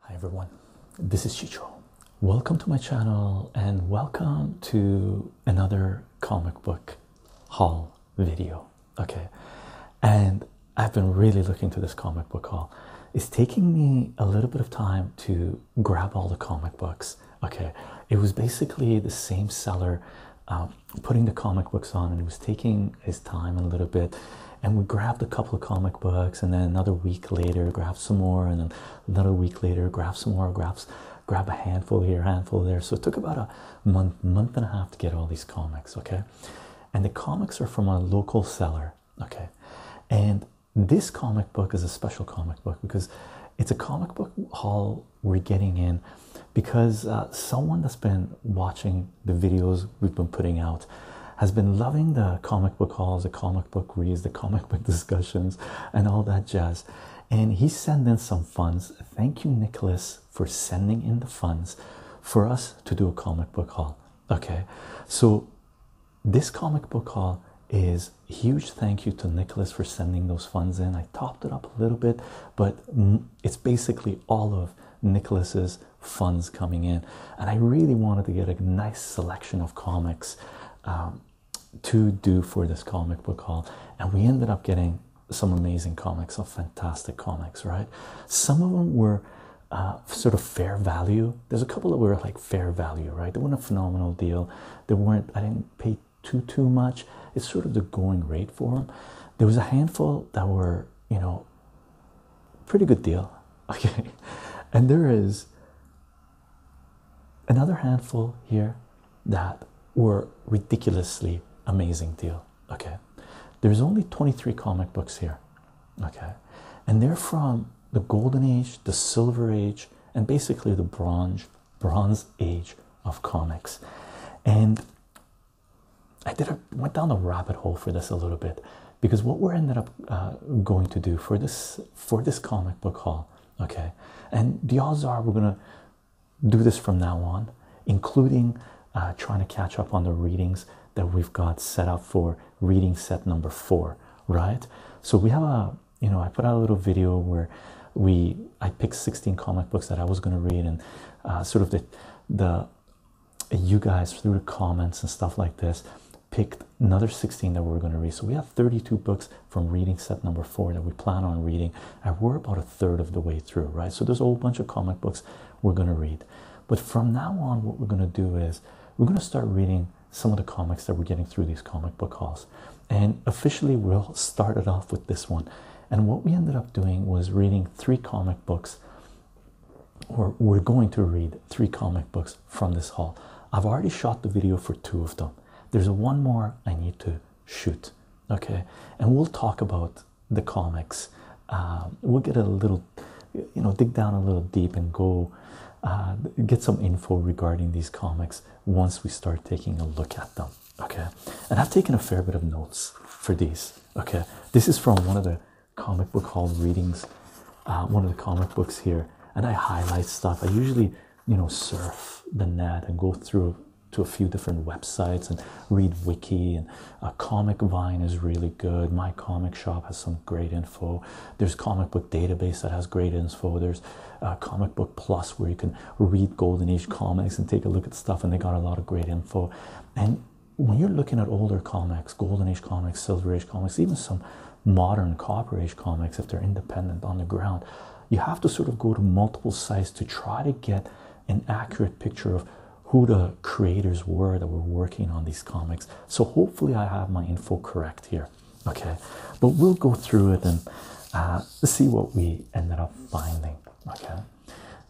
Hi everyone, this is Chicho. Welcome to my channel and welcome to another comic book haul video. Okay, and I've been really looking to this comic book haul. It's taking me a little bit of time to grab all the comic books Okay, it was basically the same seller um, putting the comic books on, and he was taking his time a little bit. And we grabbed a couple of comic books, and then another week later, grabbed some more, and then another week later, grabbed some more, grabs, grab a handful here, handful there. So it took about a month, month and a half to get all these comics. Okay, and the comics are from a local seller. Okay, and this comic book is a special comic book because it's a comic book haul we're getting in because uh, someone that's been watching the videos we've been putting out has been loving the comic book hauls, the comic book reads, the comic book discussions, and all that jazz. And he's sending some funds. Thank you, Nicholas, for sending in the funds for us to do a comic book haul. Okay, so this comic book haul is huge thank you to nicholas for sending those funds in i topped it up a little bit but it's basically all of nicholas's funds coming in and i really wanted to get a nice selection of comics um, to do for this comic book hall. and we ended up getting some amazing comics some fantastic comics right some of them were uh, sort of fair value there's a couple that were like fair value right they weren't a phenomenal deal they weren't i didn't pay too too much. It's sort of the going rate for them. There was a handful that were, you know, pretty good deal. Okay. And there is another handful here that were ridiculously amazing deal. Okay. There's only 23 comic books here. Okay. And they're from the golden age, the silver age, and basically the bronze Bronze Age of comics, and I did a, went down a rabbit hole for this a little bit because what we're ended up uh, going to do for this for this comic book haul, okay, and the odds are we're gonna do this from now on, including uh, trying to catch up on the readings that we've got set up for reading set number four, right? So we have a you know i put out a little video where we i picked 16 comic books that i was going to read and uh, sort of the the you guys through comments and stuff like this picked another 16 that we are going to read so we have 32 books from reading set number four that we plan on reading and we're about a third of the way through right so there's a whole bunch of comic books we're going to read but from now on what we're going to do is we're going to start reading some of the comics that we're getting through these comic book hauls and officially we will start it off with this one and what we ended up doing was reading three comic books or we're going to read three comic books from this haul i've already shot the video for two of them there's one more i need to shoot okay and we'll talk about the comics um, we'll get a little you know dig down a little deep and go uh, get some info regarding these comics once we start taking a look at them okay and i've taken a fair bit of notes for these okay this is from one of the comic book hall readings uh, one of the comic books here and i highlight stuff i usually you know surf the net and go through to a few different websites and read wiki and uh, comic vine is really good my comic shop has some great info there's comic book database that has great info there's uh, comic Book Plus, where you can read Golden Age comics and take a look at stuff, and they got a lot of great info. And when you're looking at older comics, Golden Age comics, Silver Age comics, even some modern Copper Age comics, if they're independent on the ground, you have to sort of go to multiple sites to try to get an accurate picture of who the creators were that were working on these comics. So hopefully I have my info correct here. Okay, but we'll go through it and uh, see what we ended up finding. Okay,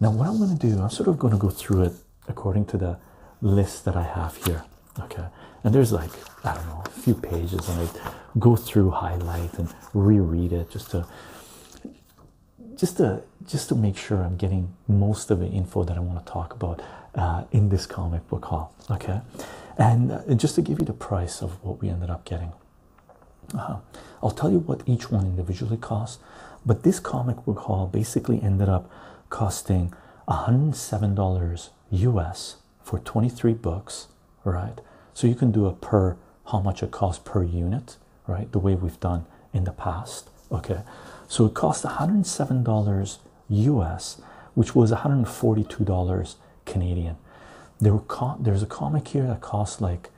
now what I'm going to do, I'm sort of going to go through it according to the list that I have here. Okay, and there's like I don't know a few pages, and I go through, highlight, and reread it just to just to just to make sure I'm getting most of the info that I want to talk about uh, in this comic book haul. Okay, uh, and just to give you the price of what we ended up getting. Uh-huh. I'll tell you what each one individually costs, but this comic book haul basically ended up costing $107 US for 23 books, right? So you can do a per how much it costs per unit, right? The way we've done in the past, okay? So it cost $107 US, which was $142 Canadian. There were there's a comic here that costs like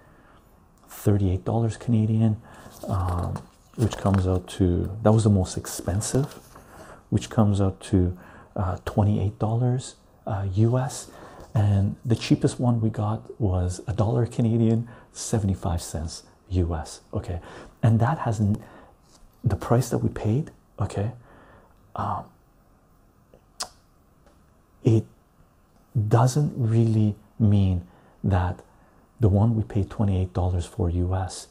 $38 Canadian, um, which comes out to that was the most expensive, which comes out to uh, $28 US. Uh, and the cheapest one we got was a dollar Canadian, 75 cents US. Okay, and that has the price that we paid. Okay, um, it doesn't really mean that the one we pay $28 for US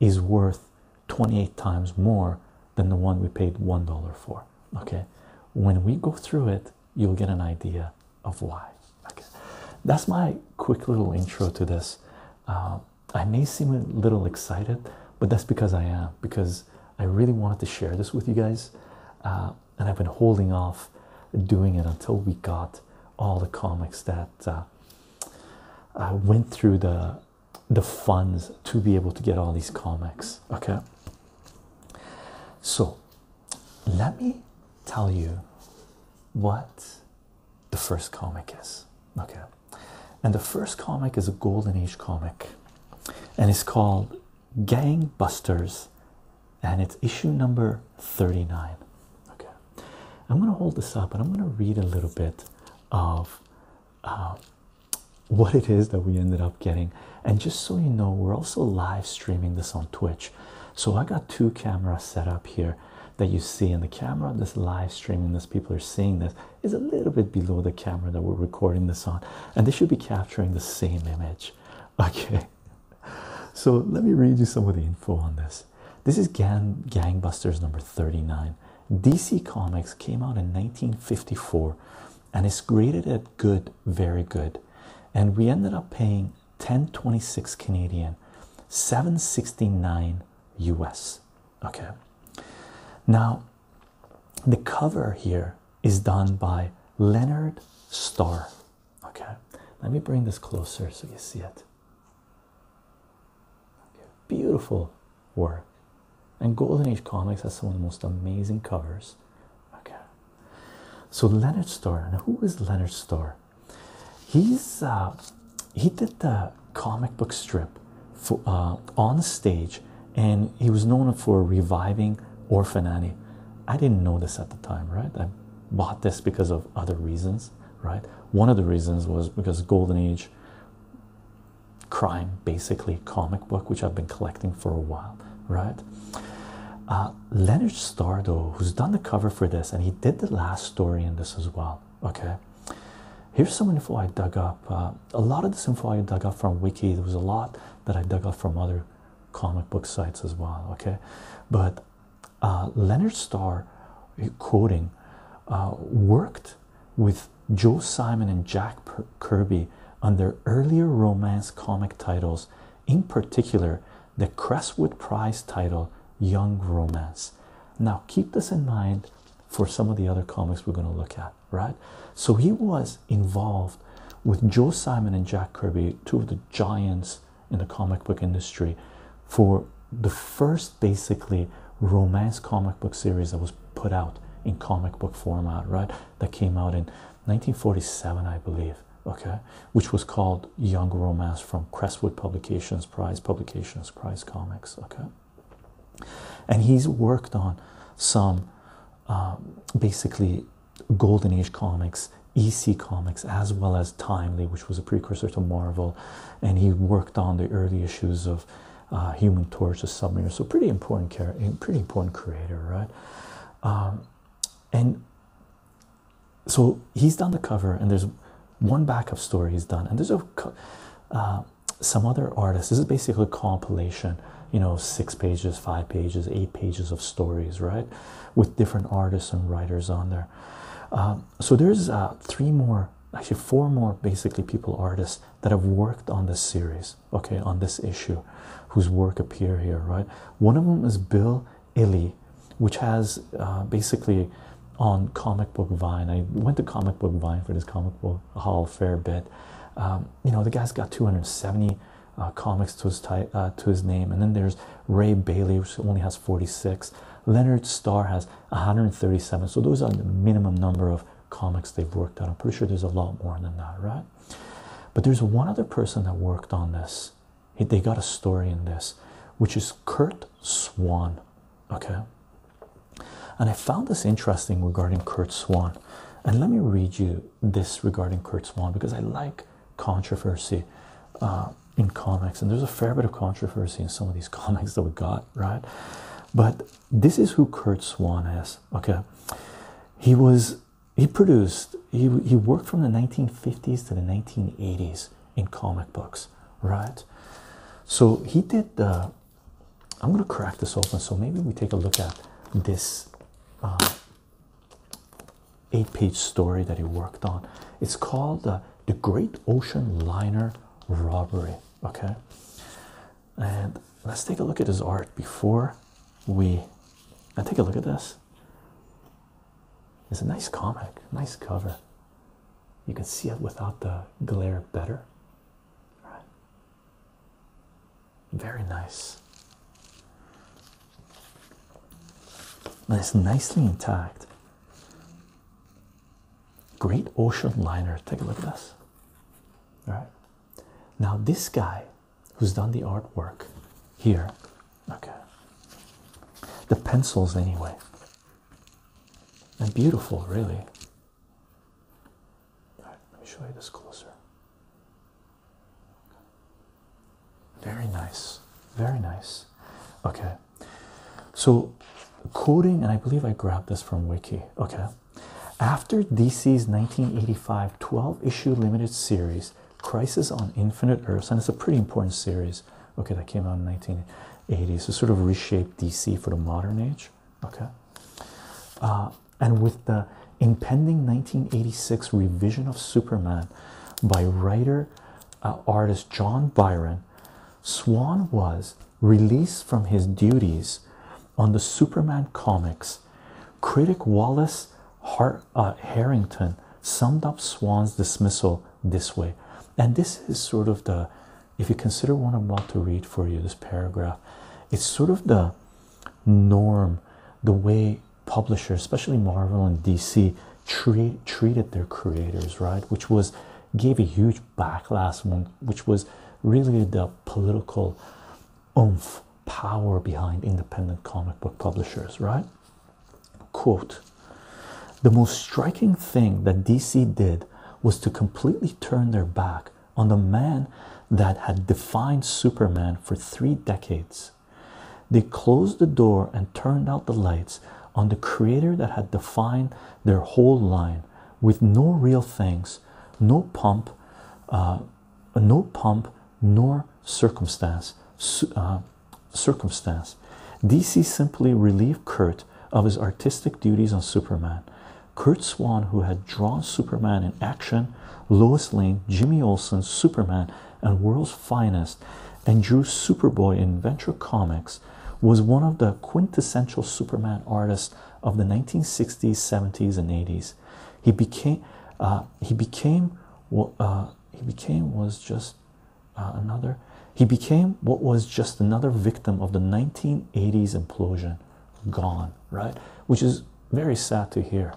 is worth 28 times more than the one we paid $1 for. Okay, when we go through it, you'll get an idea of why. Okay, that's my quick little intro to this. Uh, I may seem a little excited, but that's because I am, because I really wanted to share this with you guys. Uh, and I've been holding off doing it until we got all the comics that I uh, uh, went through the the funds to be able to get all these comics. Okay, so let me tell you what the first comic is. Okay, and the first comic is a golden age comic, and it's called Gangbusters, and it's issue number 39. Okay, I'm going to hold this up and I'm going to read a little bit of um, what it is that we ended up getting. And just so you know, we're also live streaming this on Twitch. So I got two cameras set up here that you see in the camera this live streaming this people are seeing this is a little bit below the camera that we're recording this on and they should be capturing the same image Okay, so let me read you some of the info on this. This is Gang Gangbusters number 39. DC Comics came out in 1954 and it's graded at good, very good. And we ended up paying 1026 Canadian, 769 US. Okay, now the cover here is done by Leonard Starr. Okay, let me bring this closer so you see it. Beautiful work, and Golden Age Comics has some of the most amazing covers. Okay, so Leonard Starr. Now, who is Leonard Starr? He's uh, he did the comic book strip for uh, on stage and he was known for reviving Orphan Annie. I didn't know this at the time, right? I bought this because of other reasons, right? One of the reasons was because Golden Age crime, basically comic book, which I've been collecting for a while, right? Uh, Leonard Starr, though, who's done the cover for this, and he did the last story in this as well. Okay, here's some info I dug up. Uh, a lot of this info I dug up from Wiki. There was a lot that I dug up from other comic book sites as well okay but uh, leonard starr eh, quoting uh, worked with joe simon and jack kirby on their earlier romance comic titles in particular the crestwood prize title young romance now keep this in mind for some of the other comics we're going to look at right? So he was involved with Joe Simon and Jack Kirby, two of the giants in the comic book industry, for the first basically romance comic book series that was put out in comic book format, right? That came out in 1947, I believe, okay, which was called Young Romance from Crestwood Publications Prize, Publications Prize Comics, okay. And he's worked on some um, basically Golden Age comics, EC comics, as well as Timely, which was a precursor to Marvel, and he worked on the early issues of uh, Human Torch, the Submariner. So pretty important character, eh, pretty important creator, right? Um, and so he's done the cover, and there's one backup story he's done, and there's uh, some other artists. This is basically a compilation you know six pages five pages eight pages of stories right with different artists and writers on there um, so there's uh, three more actually four more basically people artists that have worked on this series okay on this issue whose work appear here right one of them is bill illy which has uh, basically on comic book vine i went to comic book vine for this comic book haul fair bit um, you know the guy's got 270 uh, comics to his type, uh, to his name, and then there's Ray Bailey, which only has 46. Leonard Starr has 137. So those are the minimum number of comics they've worked on. I'm pretty sure there's a lot more than that, right? But there's one other person that worked on this. They got a story in this, which is Kurt Swan. Okay. And I found this interesting regarding Kurt Swan. And let me read you this regarding Kurt Swan because I like controversy uh, in comics, and there's a fair bit of controversy in some of these comics that we got, right? But this is who Kurt Swan is. Okay, he was he produced he he worked from the 1950s to the 1980s in comic books, right? So he did the. Uh, I'm gonna crack this open, so maybe we take a look at this uh, eight page story that he worked on. It's called uh, The Great Ocean Liner Robbery. Okay, and let's take a look at his art before we. And take a look at this. It's a nice comic, nice cover. You can see it without the glare better. Very nice. And it's nicely intact. Great ocean liner. Take a look at this. All right. Now, this guy who's done the artwork here, okay, the pencils anyway, and beautiful, really. All right, let me show you this closer. Very nice, very nice. Okay, so quoting, and I believe I grabbed this from Wiki. Okay, after DC's 1985 12 issue limited series, Crisis on Infinite Earths, and it's a pretty important series. Okay, that came out in 1980, so sort of reshaped DC for the modern age. Okay, uh, and with the impending 1986 revision of Superman by writer uh, artist John Byron, Swan was released from his duties on the Superman comics. Critic Wallace Har uh, Harrington summed up Swan's dismissal this way, and this is sort of the if you consider what I'm about to read for you, this paragraph, it's sort of the norm, the way publishers, especially Marvel and DC, treat, treated their creators right, which was gave a huge backlash, one which was really the political oomph power behind independent comic book publishers, right? Quote The most striking thing that DC did was to completely turn their back on the man that had defined Superman for three decades. They closed the door and turned out the lights on the creator that had defined their whole line with no real things, no pump, uh, no pump, nor circumstance. Uh, circumstance. DC simply relieved Kurt of his artistic duties on Superman. Kurt Swan, who had drawn Superman in action, Lois Lane, Jimmy Olsen, Superman, and World's Finest and drew Superboy in Venture Comics, was one of the quintessential Superman artists of the 1960s, 70s, and 80s. He became, uh, he became what uh, he became was just uh, another. He became what was just another victim of the 1980s implosion, gone right, which is very sad to hear.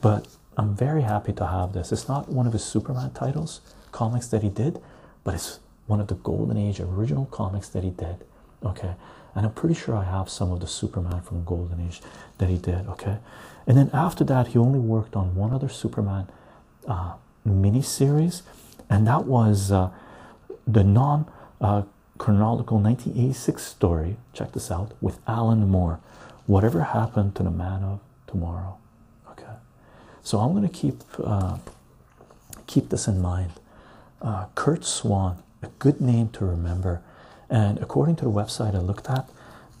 But I'm very happy to have this. It's not one of his Superman titles, comics that he did, but it's one of the Golden Age original comics that he did. Okay, and I'm pretty sure I have some of the Superman from Golden Age that he did. Okay, and then after that, he only worked on one other Superman uh, mini series, and that was uh, the non uh, chronological 1986 story. Check this out with Alan Moore whatever happened to the man of tomorrow okay so i'm going to keep uh, keep this in mind uh, kurt swan a good name to remember and according to the website i looked at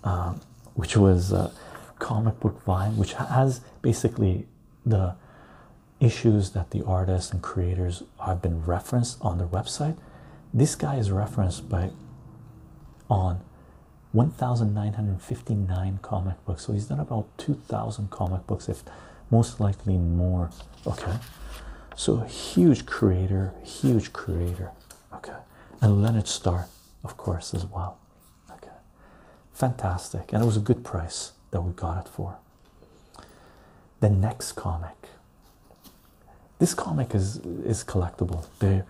um, which was uh, comic book vine which has basically the issues that the artists and creators have been referenced on the website this guy is referenced by on 1959 comic books so he's done about 2000 comic books if most likely more okay so huge creator huge creator okay and leonard starr of course as well okay fantastic and it was a good price that we got it for the next comic this comic is is collectible. They,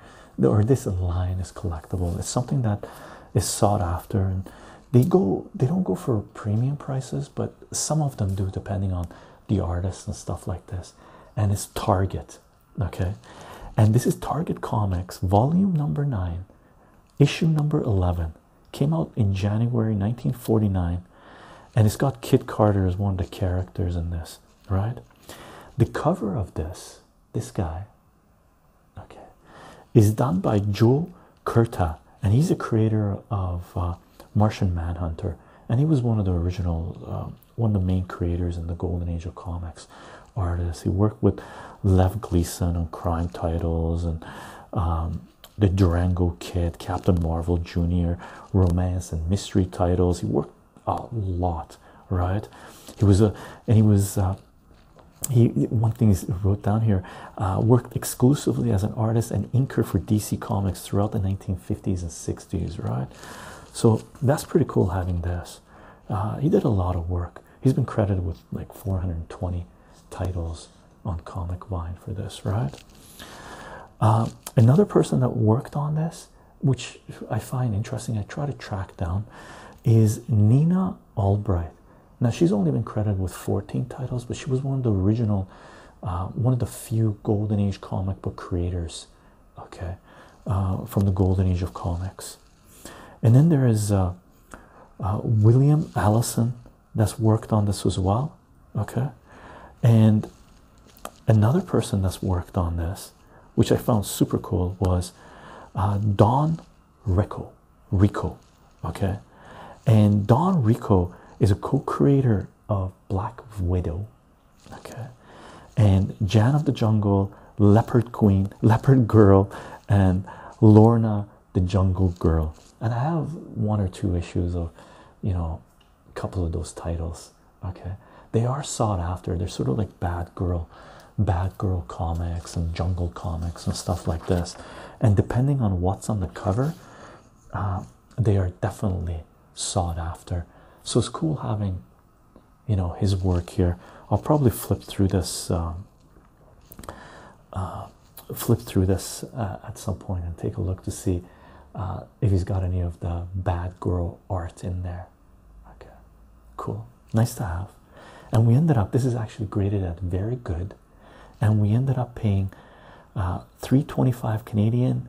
or this line is collectible. It's something that is sought after, and they go. They don't go for premium prices, but some of them do, depending on the artist and stuff like this. And it's Target, okay. And this is Target Comics, volume number nine, issue number eleven. Came out in January 1949, and it's got Kid Carter as one of the characters in this right? The cover of this, this guy, okay, is done by Joe Kurtz, and he's a creator of uh, Martian Manhunter, and he was one of the original, um, one of the main creators in the Golden Age of comics. Artists. He worked with Lev Gleason on crime titles and um, the Durango Kid, Captain Marvel Jr., romance and mystery titles. He worked a lot, right? He was a and he was uh, he one thing he wrote down here uh, worked exclusively as an artist and inker for DC Comics throughout the 1950s and 60s, right? So that's pretty cool having this. Uh, he did a lot of work. He's been credited with like 420 titles on Comic Vine for this, right? another person that worked on this which I find interesting, I try to track down, is Nina Albright. Now, she's only been credited with 14 titles, but she was one of the original, uh, one of the few Golden Age comic book creators, okay, uh, from the Golden Age of comics. And then there is uh, William Allison that's worked on this as well, okay, and another person that's worked on this, which I found super cool, was uh, Don Rico. Rico, okay, and Don Rico is a co-creator of Black Widow, okay, and Jan of the Jungle, Leopard Queen, Leopard Girl, and Lorna the Jungle Girl. And I have one or two issues of, you know, a couple of those titles okay they are sought after they're sort of like bad girl bad girl comics and jungle comics and stuff like this and depending on what's on the cover uh, they are definitely sought after so it's cool having you know his work here i'll probably flip through this um, uh, flip through this uh, at some point and take a look to see if he's got any of the bad girl art in there Okay, cool, nice to have. And we ended up, this is actually graded at very good, and we ended up paying uh, 325 Canadian,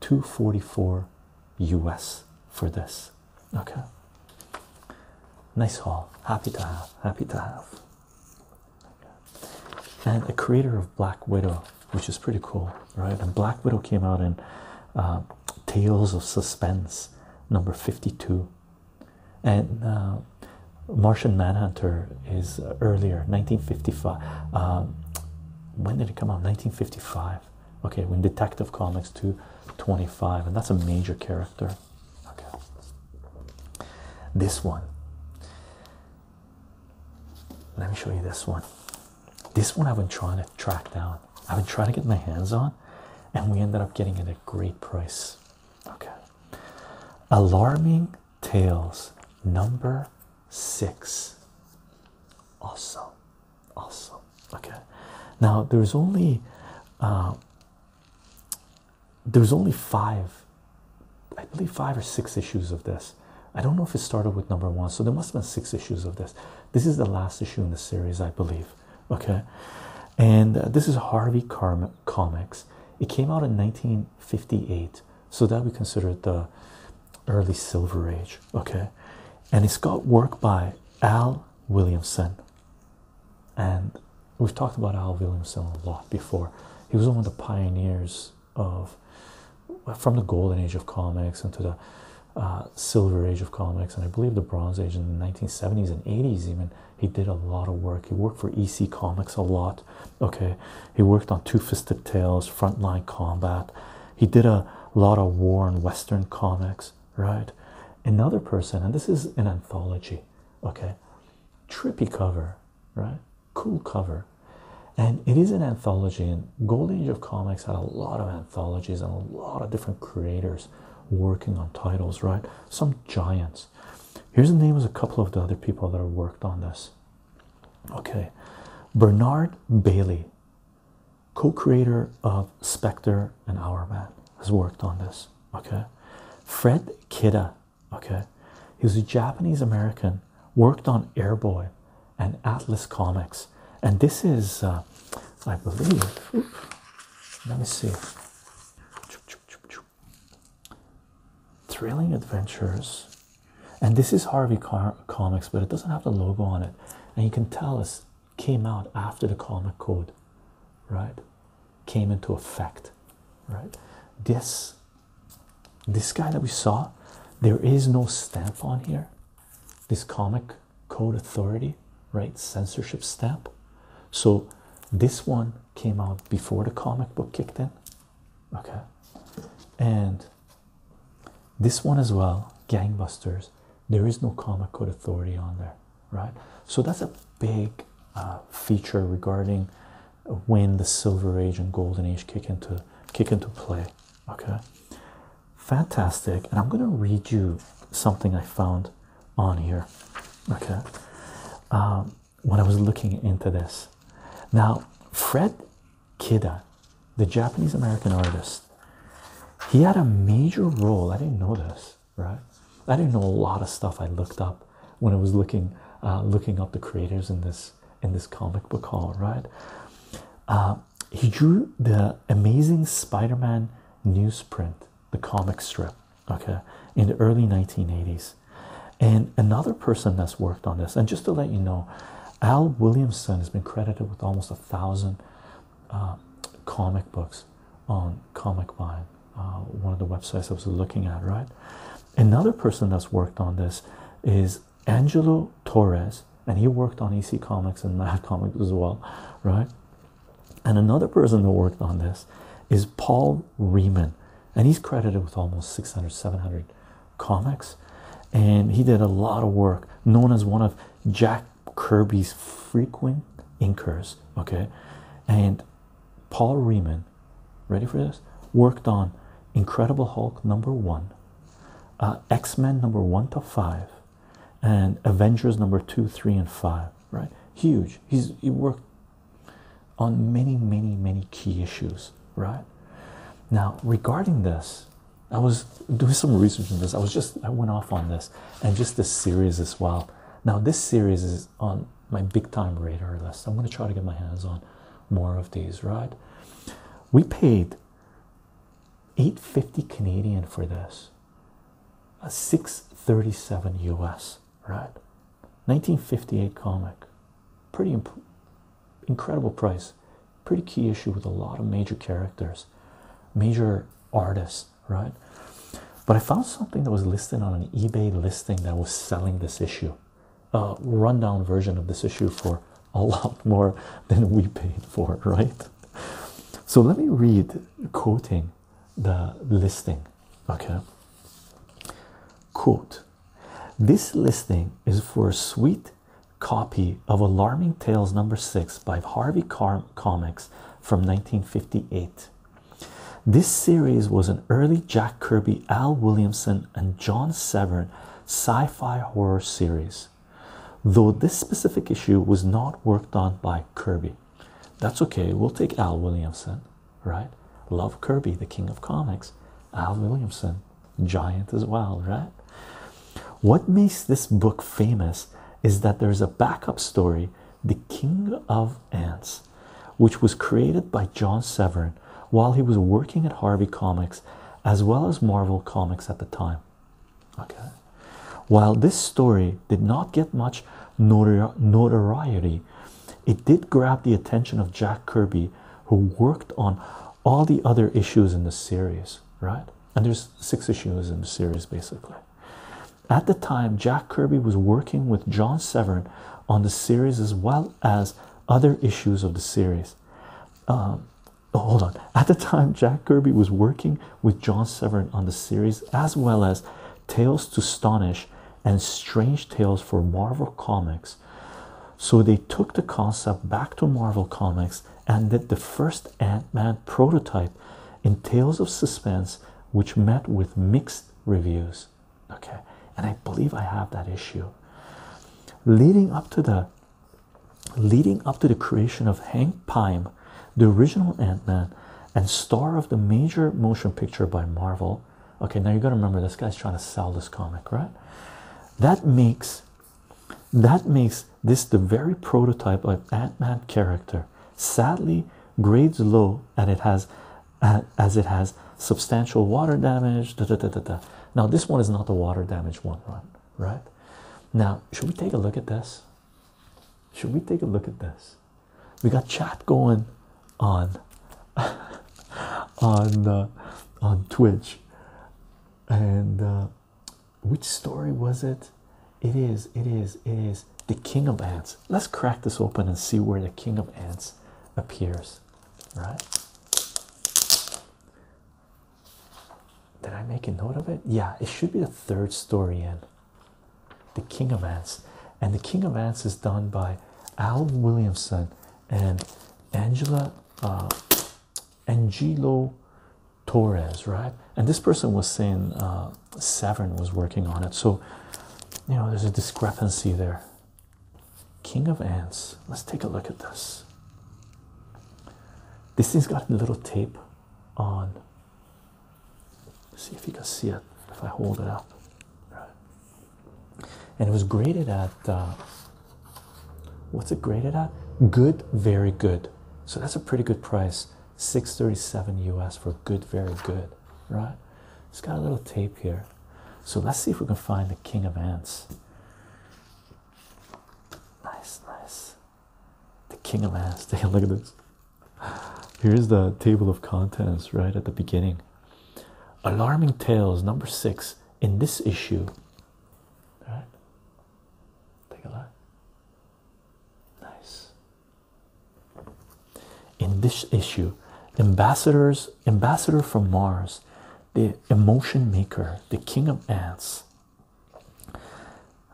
244 US for this. Okay, nice haul, happy to have, happy to have. And a creator of Black Widow, which is pretty cool right? And Black Widow came out in uh, Tales of Suspense number 52, and uh, Martian Manhunter is uh, earlier 1955. Um, when did it come out? 1955. Okay, when Detective Comics 225, and that's a major character. Okay, this one. Let me show you this one. This one I've been trying to track down. I've been trying to get my hands on, and we ended up getting it at a great price. Okay. Alarming Tales number six. Awesome. Awesome. Okay. Now there's only uh, there's only five, I believe five or six issues of this. I don't know if it started with number one, so there must have been six issues of this. This is the last issue in the series, I believe. Okay, and uh, this is Harvey Karma Comics. It came out in 1958, so that we consider it the early Silver Age. Okay, and it's got work by Al Williamson, and we've talked about Al Williamson a lot before. He was one of the pioneers of from the golden age of comics into the uh, Silver Age of comics, and I believe the Bronze Age in the 1970s and 80s. Even he did a lot of work. He worked for EC Comics a lot. Okay, he worked on Two Fisted Tales, Frontline Combat. He did a lot of war and Western comics. Right, another person, and this is an anthology. Okay, trippy cover. Right, cool cover. And it is an anthology, and Gold Age of Comics had a lot of anthologies and a lot of different creators working on titles, right? Some giants. Here's the names of a couple of the other people that have worked on this. Okay, Bernard Bailey, co-creator of Spectre and Hourman, has worked on this. Okay, Fred Kida. Okay, he was a Japanese American, worked on Airboy, and Atlas Comics. And this is, uh, I believe, let me see. Thrilling Adventures. And this is Harvey Comics, but it doesn't have the logo on it. And you can tell it came out after the comic code, right? Came into effect, right? This this guy that we saw, there is no stamp on here this comic code authority, right? Censorship stamp. So this one came out before the comic book kicked in, okay? And this one as well, Gangbusters, there is no comic code authority on there, right? So that's a big uh, feature regarding when the Silver Age and Golden Age kick into kick into play okay fantastic and i'm going to read you something i found on here okay um, when i was looking into this now fred kida the japanese american artist he had a major role i didn't know this right i didn't know a lot of stuff i looked up when i was looking uh, looking up the creators in this in this comic book hall, right uh, he drew the amazing Spider-Man newsprint, the comic strip, okay, in the early 1980s. And another person that's worked on this, and just to let you know, Al Williamson has been credited with almost a thousand uh, comic books on Comic Vine, uh, one of the websites I was looking at, right? Another person that's worked on this is Angelo Torres, and he worked on EC Comics and Mad Comics as well, right? And another person that worked on this is Paul Riemann, and he's credited with almost 600, 700 comics. And he did a lot of work, known as one of Jack Kirby's frequent inkers. Okay, and Paul Riemann, ready for this, worked on Incredible Hulk number one, uh, X Men number one to five, and Avengers number two, three, and five, right? Huge. He's he worked on many, many, many key issues, right? Now, regarding this, I was doing some research on this. I was just I went off on this and just this series as well. Now, this series is on my big time radar list. I'm gonna try to get my hands on more of these, right? We paid 850 Canadian for this. A 637 US, right? 1958 comic. Pretty incredible price. Pretty key issue with a lot of major characters, major artists, right? But I found something that was listed on an eBay listing that was selling this issue, a rundown version of this issue for a lot more than we paid for, right? So let me read quoting the listing. Okay. Quote This listing is for a sweet copy of Alarming Tales number six by Harvey Car Comics from 1958. This series was an early Jack Kirby, Al Williamson, and John Severn sci fi horror series though this specific issue was not worked on by Kirby. That's okay, we'll take Al Williamson, right? Love Kirby, the king of comics. Al Williamson, giant as well, right? What makes this book famous is that there's a backup story, The King of Ants, which was created by John Severin while he was working at Harvey Comics as well as Marvel Comics at the time. Okay, while this story did not get much notoriety, it did grab the attention of Jack Kirby, who worked on all the other issues in the series, right? And there's six issues in the series basically. At the time, Jack Kirby was working with John Severn on the series as well as other issues of the series. Um, Oh, hold on. At the time, Jack Kirby was working with John Severin on the series, as well as Tales to Astonish and Strange Tales for Marvel Comics. So they took the concept back to Marvel Comics and did the first Ant-Man prototype in Tales of Suspense, which met with mixed reviews. Okay, and I believe I have that issue. Leading up to the Leading up to the creation of Hank Pym, the original Ant Man, and star of the major motion picture by Marvel. Okay, now you gotta remember this guy's trying to sell this comic, right? That makes that makes this the very prototype of Ant-Man character. Sadly, grades low and it has uh, as it has substantial water damage. Now this one is not the water damage one run, right? Now, should we take a look at this? Should we take a look at this? We got chat going on on uh, on Twitch, and uh, which story was it? It is, it is, it is the King of Ants. Let's crack this open and see where the King of Ants appears. Right? Did I make a note of it? Yeah, it should be the third story in The King of Ants. And The King of Ants is done by Al Williamson and Angela uh, Angelo Torres, right? And this person was saying uh, Severn was working on it. So, you know, there's a discrepancy there. King of Ants. Let's take a look at this. This thing's got a little tape on see if you can see it if I hold it up. Right. And it was graded at uh, what's it graded at? Good, very good. So that's a pretty good price. 637 US for good, very good. Right? It's got a little tape here. So let's see if we can find the king of ants. Nice, nice the king of ants. Take a look at this. Here's the table of contents right at the beginning. Alarming Tales, number six, in this issue. All right. Take a look. Nice. In this issue, ambassadors, ambassador from Mars, the emotion maker, the king of ants,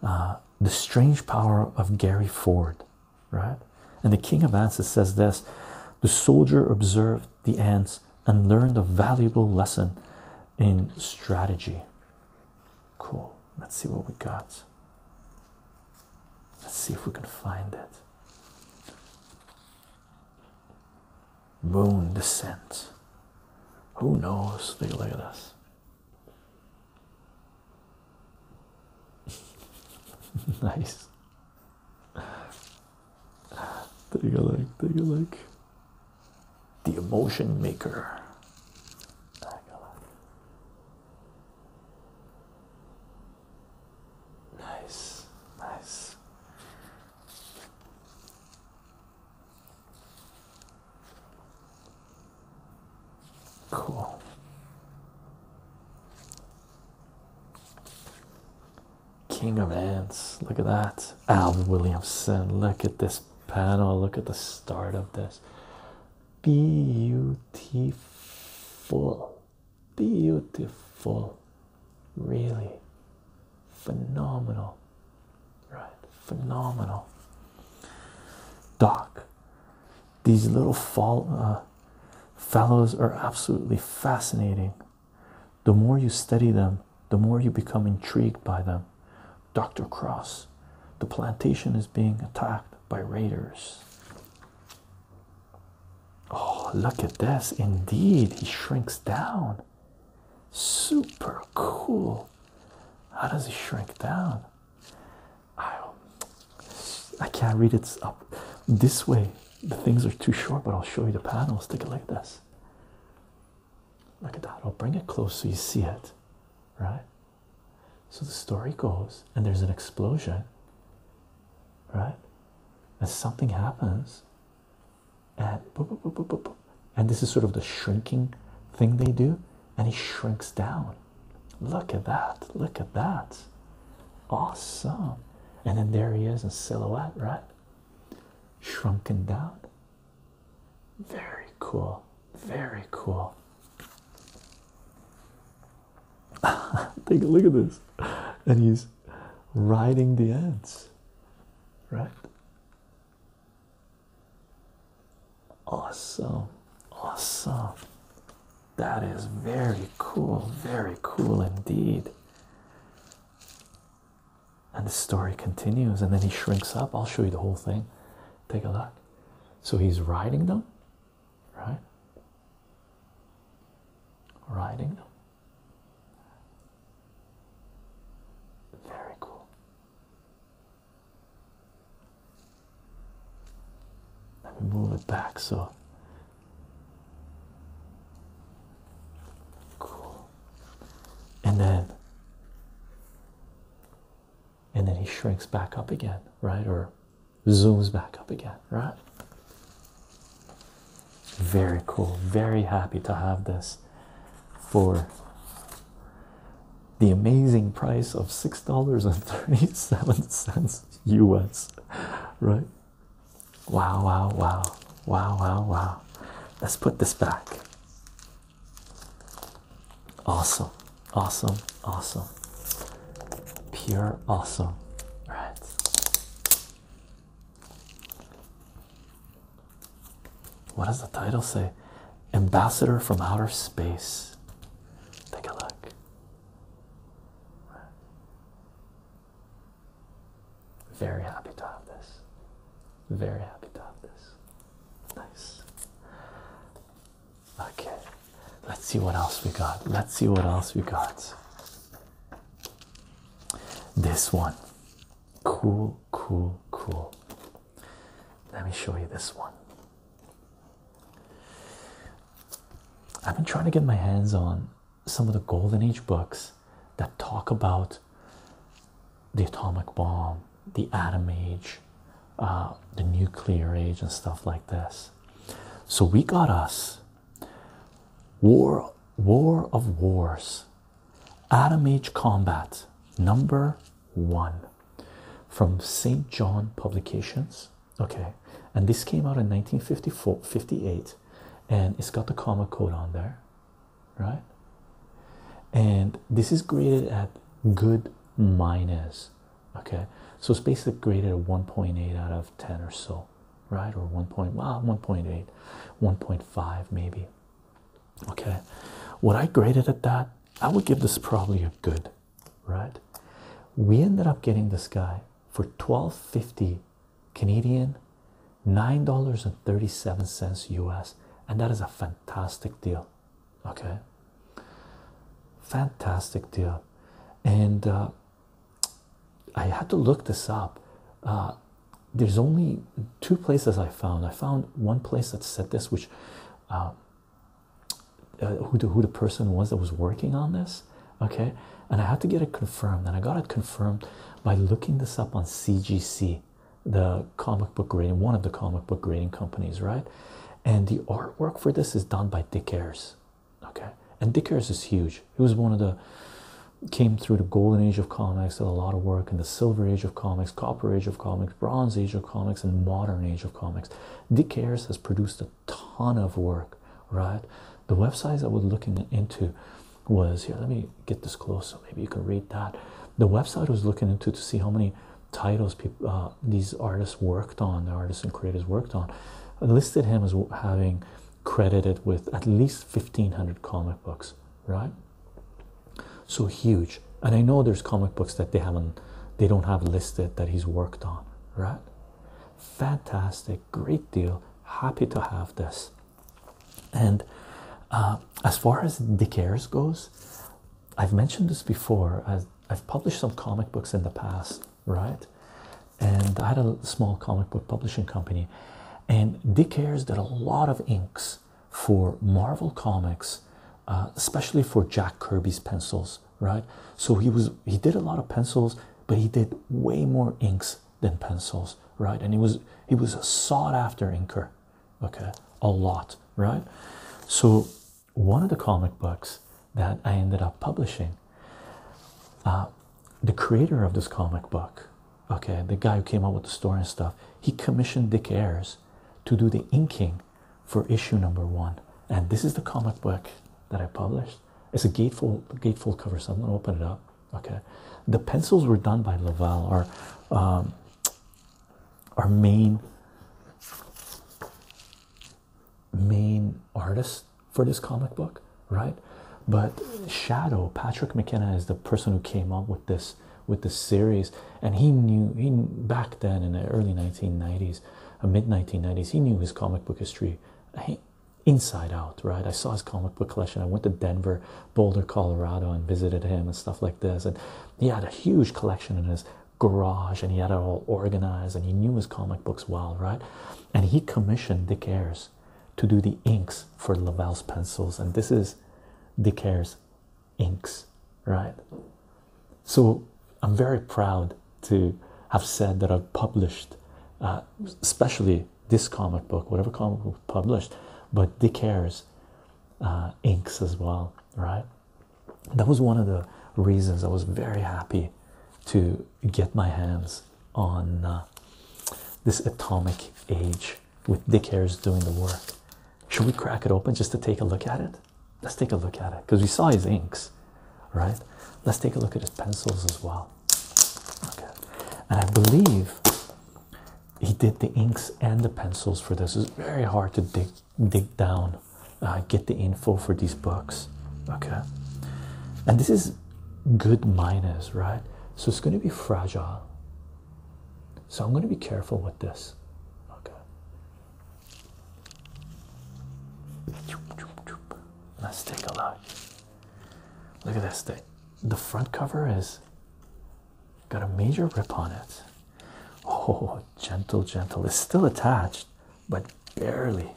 uh, the strange power of Gary Ford, right? And the king of ants says this the soldier observed the ants and learned a valuable lesson in strategy. Cool. Let's see what we got. Let's see if we can find it. Moon descent. Who knows? Take a look at this. nice. Do you like? Do you like? The emotion maker. Nice, nice. Cool. King of Ants. Look at that. Al Williamson. Look at this panel. Look at the start of this. Beautiful. Beautiful. Really phenomenal right? Phenomenal. Doc, these little fall, uh, fellows are absolutely fascinating. The more you study them, the more you become intrigued by them. Dr. Cross, the plantation is being attacked by raiders. Oh, look at this! Indeed, he shrinks down. Super cool. How does he shrink down? I I can't read it up this way. The things are too short, but I'll show you the panels. Take a look at this. Look at that. I'll bring it close so you see it, right? So the story goes, and there's an explosion, right? And something happens, and and this is sort of the shrinking thing they do and he shrinks down. Look at that! Look at that! Awesome! And then there he is in silhouette, right? Shrunken down. Very cool. Very cool. Take a look at this. And he's riding the ants, right? Awesome, awesome. That is very cool, very cool indeed. And the story continues, and then he shrinks up. I'll show you the whole thing. Take a look. So he's riding them, right? Riding them. Very cool. Let me move it back so cool. And then and then he shrinks back up again, right? Or zooms back up again, right? Very cool. Very happy to have this for the amazing price of six dollars and thirty seven cents US, right? Wow, wow, wow, wow, wow, wow. Let's put this back. Awesome, awesome, awesome. Pure awesome, right? What does the title say? Ambassador from Outer Space. Take a look. Very happy to have this. Very happy to have this. Nice. Okay, let's see what else we got. Let's see what else we got. This one. Cool, cool, cool. Let me show you this one. I've been trying to get my hands on some of the Golden Age books that talk about the atomic bomb, the atom age, uh, the nuclear age, and stuff like this. So we got us War, War of Wars, Atom Age Combat, number one from St. John Publications. Okay, and this came out in 1954 58, and it's got the comma code on there, right? And this is graded at good minus. Okay, so it's basically graded at 1.8 out of 10 or so, right? Or 1.1, well, 1.8, 1.5 maybe. Okay, When I graded at that, I would give this probably a good right? We ended up getting this guy for twelve fifty Canadian, $9.37 US, and that is a fantastic deal, okay? Fantastic deal. And uh, I had to look this up. Uh, there's only two places I found. I found one place that said this, which uh, uh, who, the, person was that was working on this okay and i had to get it confirmed and i got it confirmed by looking this up on cgc the comic book grading one of the comic book grading companies right and the artwork for this is done by dick ayers okay and dick ayers is huge he was one of the came through the golden age of comics did a lot of work in the silver age of comics copper age of comics bronze age of comics and modern age of comics Dick Ayers has produced a ton of work, right? The website I was looking into was here. Let me get this close so maybe you can read that. The website I was looking into to see how many titles uh, these artists worked on, the artists and creators worked on, listed him as having credited with at least 1500 comic books, right? So huge and i know there's comic books that they haven't they don't have listed that he's worked on right fantastic great deal happy to have this and uh, as far as dick airs goes i've mentioned this before i've published some comic books in the past right and i had a small comic book publishing company and dick airs did a lot of inks for marvel comics uh, especially for Jack Kirby's pencils, right? So he was he did a lot of pencils, but he did way more inks than pencils, right? And he was he was a sought after inker, okay, a lot, right? So one of the comic books that I ended up publishing, uh, the creator of this comic book, okay, the guy who came up with the story and stuff, he commissioned Dick Ayers to do the inking for issue number one. And this is the comic book that I published. It's a gatefold, gatefold cover, so I'm going to open it up. Okay, the pencils were done by Laval, our, um, our main main artist for this comic book, right? But Shadow Patrick McKenna is the person who came up with this with this series, and he knew he back then in the early 1990s 1990s mid 1990s he knew his comic book history inside out right i saw his comic book collection i went to denver boulder colorado and visited him and stuff like this and he had a huge collection in his garage and he had it all organized and he knew his comic books well right and he commissioned dick ayers to do the inks for lavelle's pencils and this is dick ayers inks, right? So I'm very proud to have said that I've published, uh, especially this comic book, whatever comic book published, but Dick Hare's uh, inks as well, right? That was one of the reasons I was very happy to get my hands on uh, this Atomic Age with Dick Hare's doing the work. Should we crack it open just to take a look at it? Let's take a look at it because we saw his inks, right? Let's take a look at his pencils as well. Okay, and I believe he did the inks and the pencils for this. It's very hard to dig dig down, uh, get the info for these books. Okay, and this is good miners, right? So it's going to be fragile. So I'm going to be careful with this. Okay, Let's take a look. Look at this thing. The front cover is got a major rip on it. Oh, gentle, gentle. It's still attached, but barely.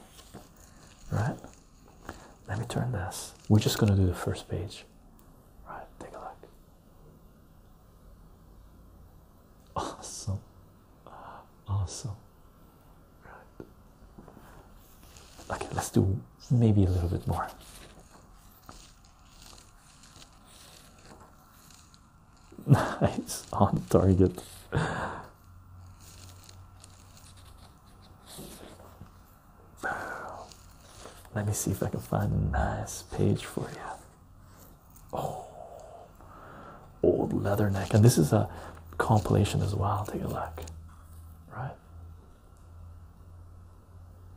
Right? Let me turn this. We're just gonna do the first page. Right, take a look. Awesome. Awesome. Right. Okay, let's do maybe a little bit more. Nice on target. Let me see if I can find a nice page for you. Oh, old leather neck, and this is a compilation as well. Take a look, right?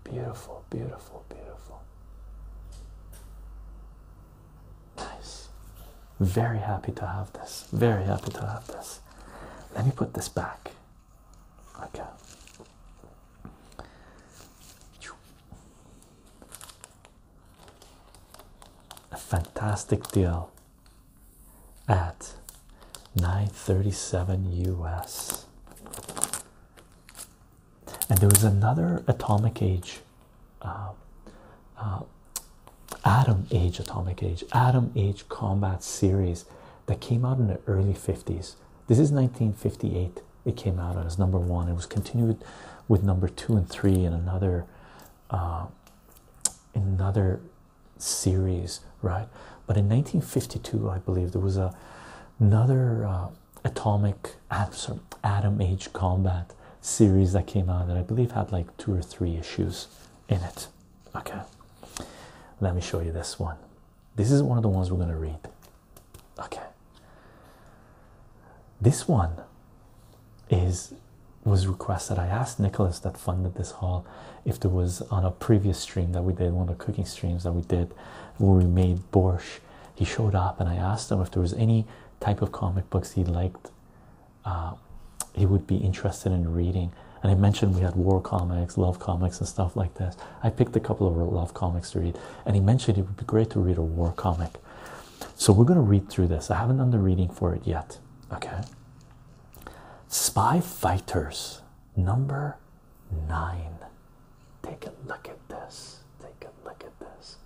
Beautiful, beautiful, beautiful. Nice. Very happy to have this. Very happy to have this. Let me put this back. Okay a fantastic deal at 937 US. And there was another atomic age, um, uh, atom age, atomic age, atom age combat series that came out in the early 50s. This is 1958. It came out as number one. It was continued with number two and three and another uh, another series, right? But in 1952, I believe there was a, another uh, atomic atom, atom age combat series that came out that I believe had like two or three issues in it. Okay, let me show you this one. This is one of the ones we're going to read. Okay, this one is was requested. I asked Nicholas that funded this hall, if there was on a previous stream that we did, one of the cooking streams that we did where we made borscht. He showed up and I asked him if there was any type of comic books he liked uh, he would be interested in reading. And I mentioned we had war comics, love comics, and stuff like this. I picked a couple of love comics to read, and he mentioned it would be great to read a war comic. So we're going to read through this. I haven't done the reading for it yet. Okay. Spy Fighters number nine. Take a look at this. Take a look at this.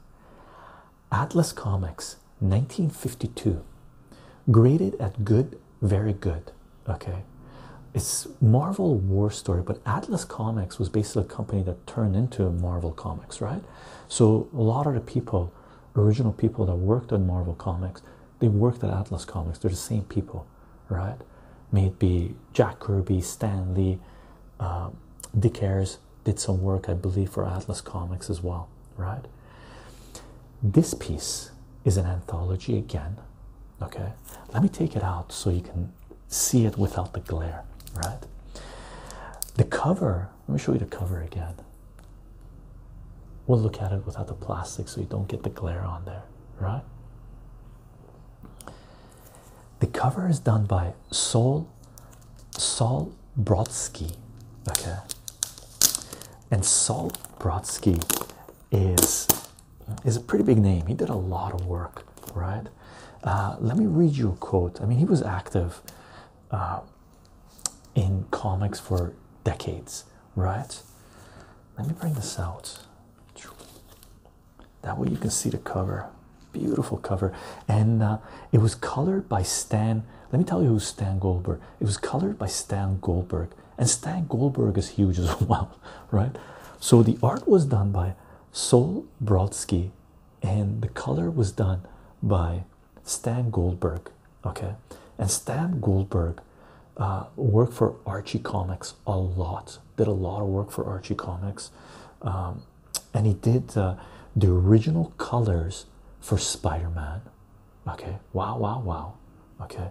Atlas Comics 1952. Graded at good, very good. Okay. It's Marvel war story, but Atlas Comics was basically a company that turned into Marvel Comics, right? So a lot of the people, original people that worked on Marvel Comics, they worked at Atlas Comics. They're the same people, right? May it be Jack Kirby, Stan Lee, uh, Dick Ayers did some work, I believe, for Atlas Comics as well, right? This piece is an anthology again. Okay, let me take it out so you can see it without the glare, right? The cover let me show you the cover again. We'll look at it without the plastic so you don't get the glare on there, right? The cover is done by Saul, Saul Brodsky. Okay. And Saul Brodsky is is a pretty big name. He did a lot of work, right? Uh, let me read you a quote. I mean, he was active uh, in comics for decades, right? Let me bring this out. That way you can see the cover. Beautiful cover. And uh, it was colored by Stan. Let me tell you who Stan Goldberg. It was colored by Stan Goldberg. And Stan Goldberg is huge as well, right? So the art was done by Sol Brodsky and the color was done by Stan Goldberg. Okay, and Stan Goldberg uh, worked for Archie Comics a lot, did a lot of work for Archie Comics, um, and he did uh, the original colors for Spider Man. Okay, wow, wow, wow. Okay,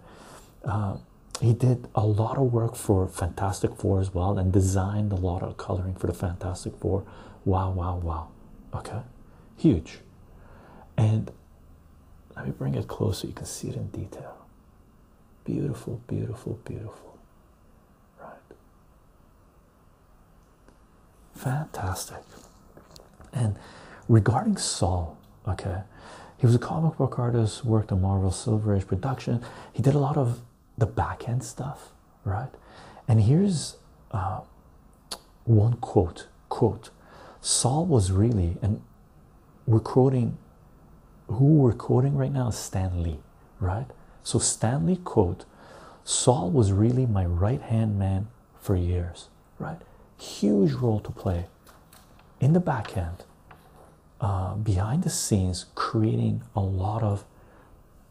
uh, he did a lot of work for Fantastic Four as well and designed a lot of coloring for the Fantastic Four wow wow wow okay huge and let me bring it closer you can see it in detail beautiful beautiful beautiful right fantastic and regarding Saul okay he was a comic book artist worked on Marvel Silver Age production he did a lot of the back end stuff right? And here's uh, one quote: "Quote, Saul was really and we're quoting who we're quoting right now is Stan Lee, right? So Stan Lee quote: Saul was really my right-hand man for years, right? Huge role to play in the back end." Uh, behind the scenes creating a lot of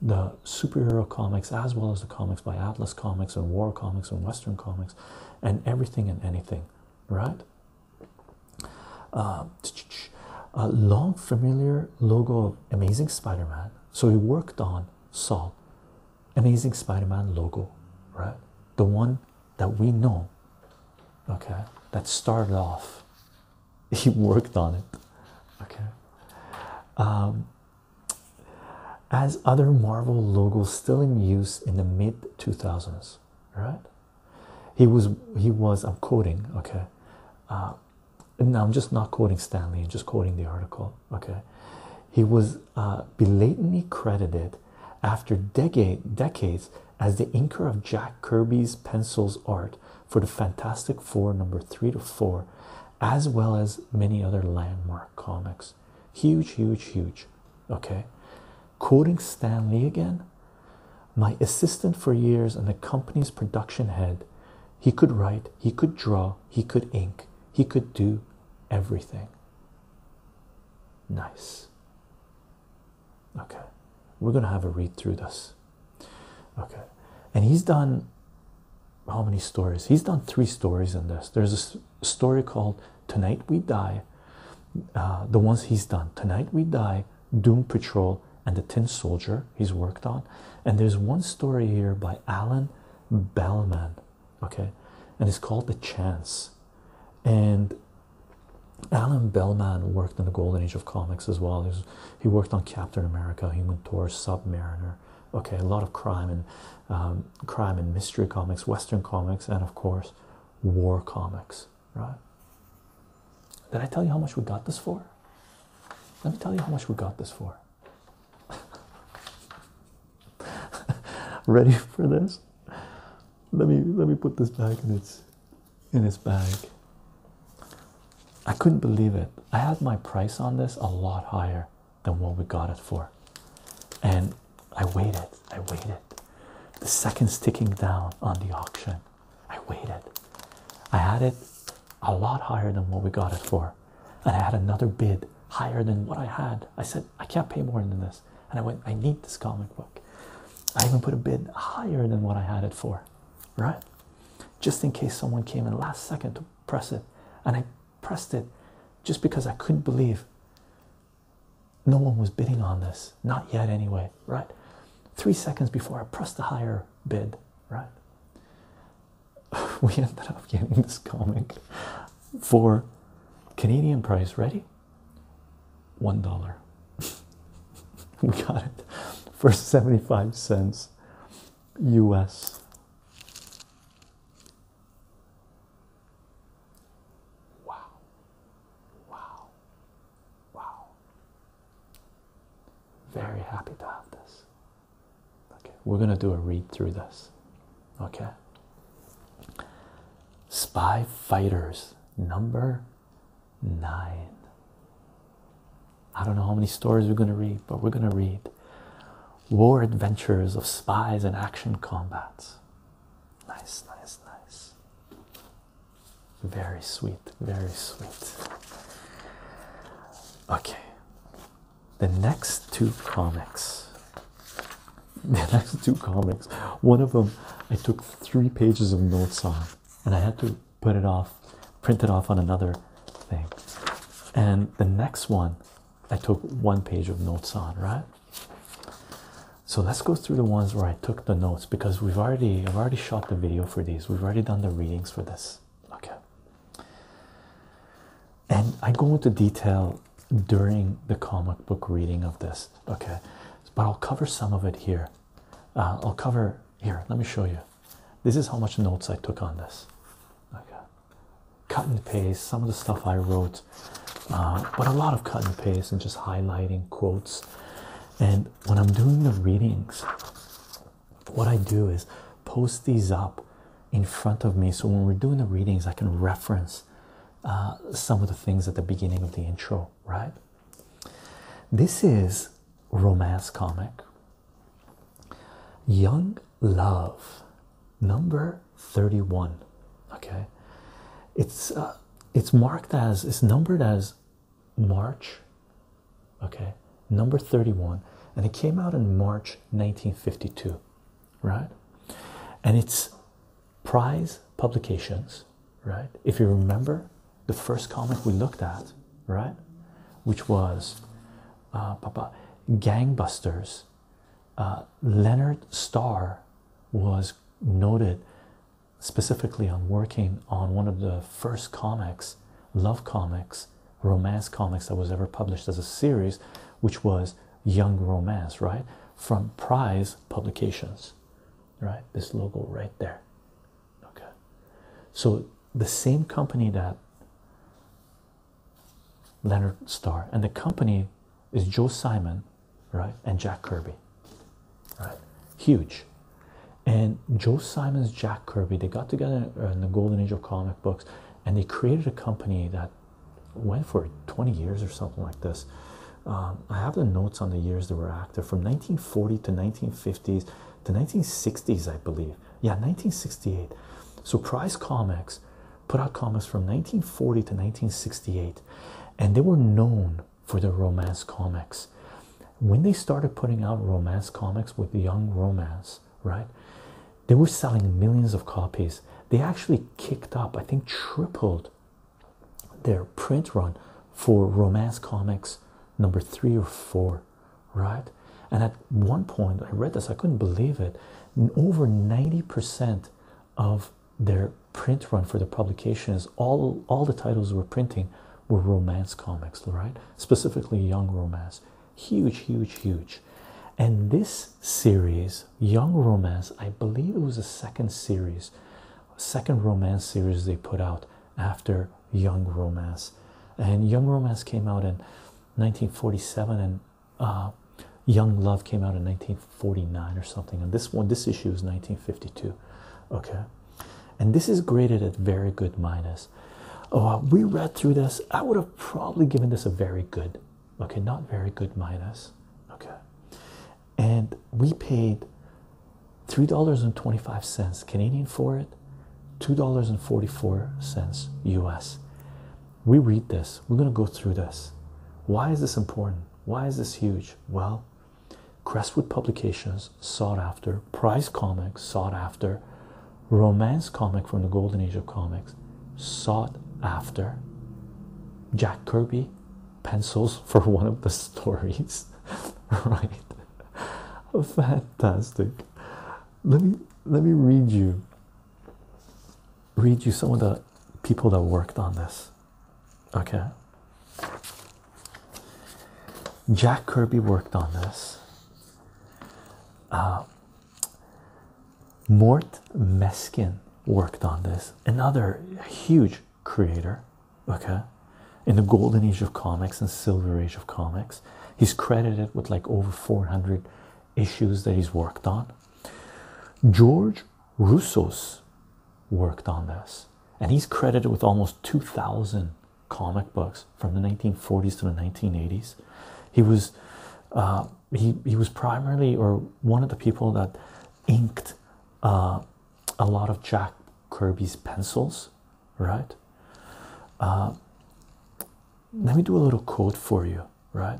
the superhero comics as well as the comics by Atlas Comics and War Comics and Western Comics and everything and anything, right? Uh, a long familiar logo of Amazing Spider Man. So he worked on Saul, Amazing Spider Man logo, right? The one that we know, okay, that started off. He worked on it, okay. Um, as other Marvel logos still in use in the mid 2000s, right? He was, he was, I'm quoting, okay. Uh, I'm just not quoting Stanley, and just quoting the article, okay. He was uh, belatedly credited after decades as the inker of Jack Kirby's pencils art for the Fantastic Four number three to four as well as many other landmark comics. Huge, huge, huge. Okay. Quoting Stan Lee again, my assistant for years and the company's production head, he could write, he could draw, he could ink, he could do everything. Nice. Okay, we're gonna have a read through this. Okay, and he's done how many stories? He's done three stories in this. There's a story called Tonight We Die, uh, the ones he's done Tonight We Die, Doom Patrol, and The Tin Soldier he's worked on. And there's one story here by Alan Bellman, okay, and it's called The Chance. And Alan Bellman worked in the golden age of comics as well. He, worked on Captain America, Human Torch, Submariner, okay a lot of crime and um, crime and mystery comics western comics and of course war comics right did i tell you how much we got this for let me tell you how much we got this for ready for this let me let me put this back in its in its bag i couldn't believe it i had my price on this a lot higher than what we got it for. And I waited, I waited. The seconds ticking down on the auction, I waited. I had it a lot higher than what we got it for. And I had another bid higher than what I had. I said, I can't pay more than this. And I went, I need this comic book. I even put a bid higher than what I had it for, right? Just in case someone came in last second to press it. And I pressed it just because I couldn't believe no one was bidding on this. Not yet, anyway, right? Three seconds before I pressed the higher bid, right? We ended up getting this comic for Canadian price. Ready? One dollar. we got it for 75 cents US. Wow. Wow. Wow. Very happy to have this. Okay, we're going to do a read through this. Okay. Spy Fighters number nine. I don't know how many stories we're going to read, but we're going to read war adventures of spies and action combats. Nice, nice, nice. Very sweet, very sweet. Okay. The next two comics. The next two comics. One of them I took three pages of notes on and I had to put it off, print it off on another thing. And the next one I took one page of notes on, right? So let's go through the ones where I took the notes because we've already I've already shot the video for these. We've already done the readings for this. Okay. And I go into detail during the comic book reading of this. Okay. But I'll cover some of it here. Uh, I'll cover here. Let me show you. This is how much notes I took on this. Okay cut and paste some of the stuff I wrote, uh, but a lot of cut and paste and just highlighting quotes. And when I'm doing the readings, what I do is post these up in front of me so when we're doing the readings, I can reference uh, some of the things at the beginning of the intro, right? This is romance comic Young Love, number 31. Okay, it's uh, it's marked as it's numbered as March. Okay, number 31, and it came out in March 1952, right? And it's prize publications, right? If you remember the first comic we looked at, right, which was uh, Gangbusters uh, Leonard Starr was noted specifically on working on one of the first comics, love comics, romance comics that was ever published as a series, which was Young Romance, right? From Prize Publications, right? This logo right there. Okay. So the same company that Leonard Starr, and the company is Joe Simon, right, and Jack Kirby, right, huge. And Joe Simon's Jack Kirby, they got together in the golden age of comic books, and they created a company that went for 20 years or something like this. Um, I have the notes on the years they were active from 1940 to 1950s to 1960s, I believe. Yeah, 1968. So Prize Comics put out comics from 1940 to 1968, and they were known for their romance comics. When they started putting out romance comics with young romance, right? They were selling millions of copies. They actually kicked up, I think, tripled their print run for romance comics number three or four, right? And at one point, I read this, I couldn't believe it. Over 90% of their print run for the publications, all all the titles we're printing were romance comics, right? Specifically young romance. Huge, huge, huge. And this series, Young Romance, I believe it was the second series, second romance series they put out after Young Romance. And Young Romance came out in 1947 and uh, Young Love came out in 1949 or something, and this one, this issue is 1952. Okay, and this is graded at very good minus. Oh, uh, we read through this. I would have probably given this a very good, okay, not very good minus. Okay, and we paid three dollars and 25 cents Canadian for it, two dollars and 44 cents US we read this, we're going to go through this. Why is this important? Why is this huge? Well, Crestwood Publications, sought after, prize comics, sought after, romance comic from the golden age of comics, sought after. Jack Kirby pencils for one of the stories, right? Fantastic. Let me let me read you read you some of the people that worked on this. Okay. Jack Kirby worked on this. Uh, Mort Meskin worked on this. Another huge creator, okay, in the golden age of comics and silver age of comics. He's credited with like over 400 issues that he's worked on. George Russo's worked on this, and he's credited with almost 2,000 comic books from the 1940s to the 1980s. He was uh, he he was primarily or one of the people that inked uh, a lot of Jack Kirby's pencils, right? Uh, let me do a little quote for you right?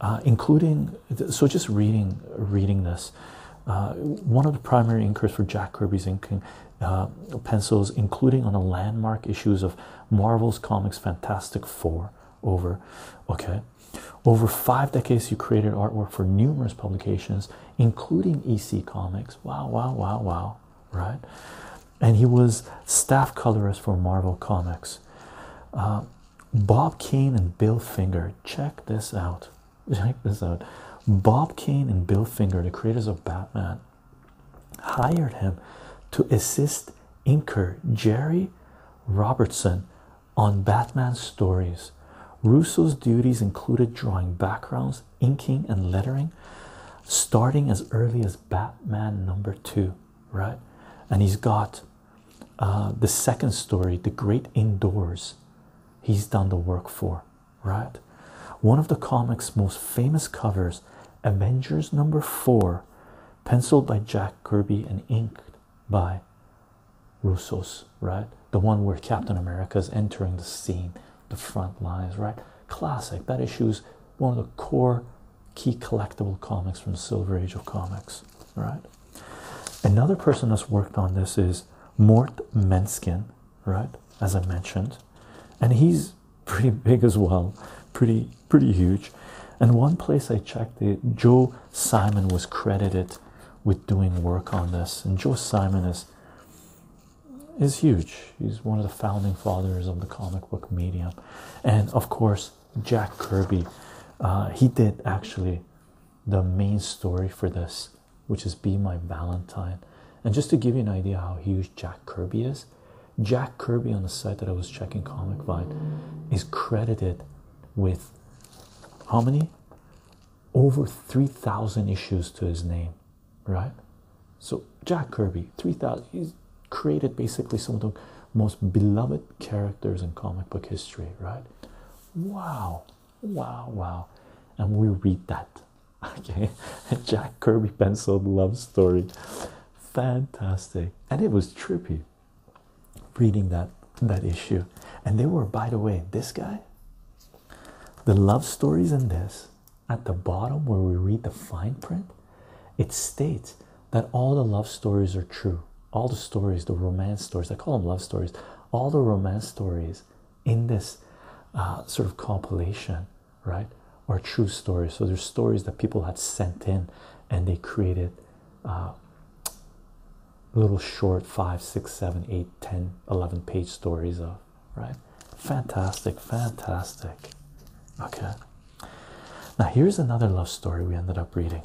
Uh, including so just reading reading this. Uh, one of the primary inkers for Jack Kirby's inking uh, pencils, including on the landmark issues of Marvel's comics Fantastic Four, over okay, over five decades, you created artwork for numerous publications, including EC Comics. Wow, wow, wow, wow, right? And he was staff colorist for Marvel Comics uh, Bob Kane and Bill Finger. Check this out. Check this out. Bob Kane and Bill Finger, the creators of Batman, hired him to assist inker Jerry Robertson on Batman stories. Russo's duties included drawing backgrounds, inking, and lettering, starting as early as Batman number two, right? And he's got uh, the second story, The Great Indoors, he's done the work for, right? One of the comic's most famous covers, Avengers number four, penciled by Jack Kirby and inked by Russo's, right? The one where Captain America is entering the scene, the front lines, right? Classic. That issue's one of the core key collectible comics from the Silver Age of comics. Right. Another person that's worked on this is Mort Menskin, right? As I mentioned, and he's pretty big as well, pretty pretty huge. And one place I checked it, Joe Simon was credited with doing work on this, and Joe Simon is is huge. He's one of the founding fathers of the comic book medium, and of course, Jack Kirby. Uh, he did actually the main story for this, which is Be My Valentine. And just to give you an idea how huge Jack Kirby is, Jack Kirby on the site that I was checking, Comic Vine, is credited with how many? Over 3,000 issues to his name, right? So, Jack Kirby, 3,000, he's created basically some of the most beloved characters in comic book history, right? Wow, wow, wow. And we read that. Okay, Jack Kirby penciled love story. Fantastic. And it was trippy reading that that issue. And they were, by the way, this guy, the love stories in this at the bottom where we read the fine print. It states that all the love stories are true. All the stories, the romance stories, I call them love stories, all the romance stories in this uh, sort of compilation, right, are true stories. So there's stories that people had sent in and they created uh, little short five, six, seven, page stories of, right? Fantastic, fantastic. Okay. Now, here's another love story we ended up reading.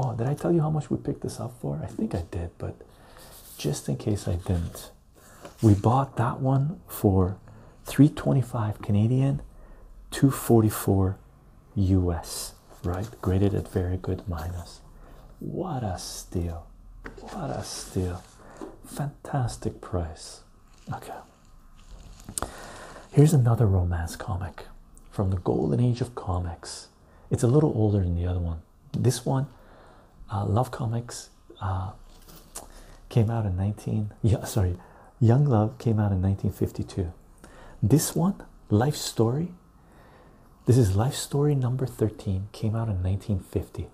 Oh, did I tell you how much we picked this up for? I think I did, but just in case I didn't, we bought that one for 325 Canadian, 244 US, right? Graded at very good minus. What a steal! What a steal! Fantastic price. Okay. Here's another romance comic from the golden age of comics. It's a little older than the other one. This one, uh, Love Comics, uh, came out in 19. Yeah, sorry, Young Love came out in 1952. This one, Life Story. This is Life Story number 13. Came out in 1950.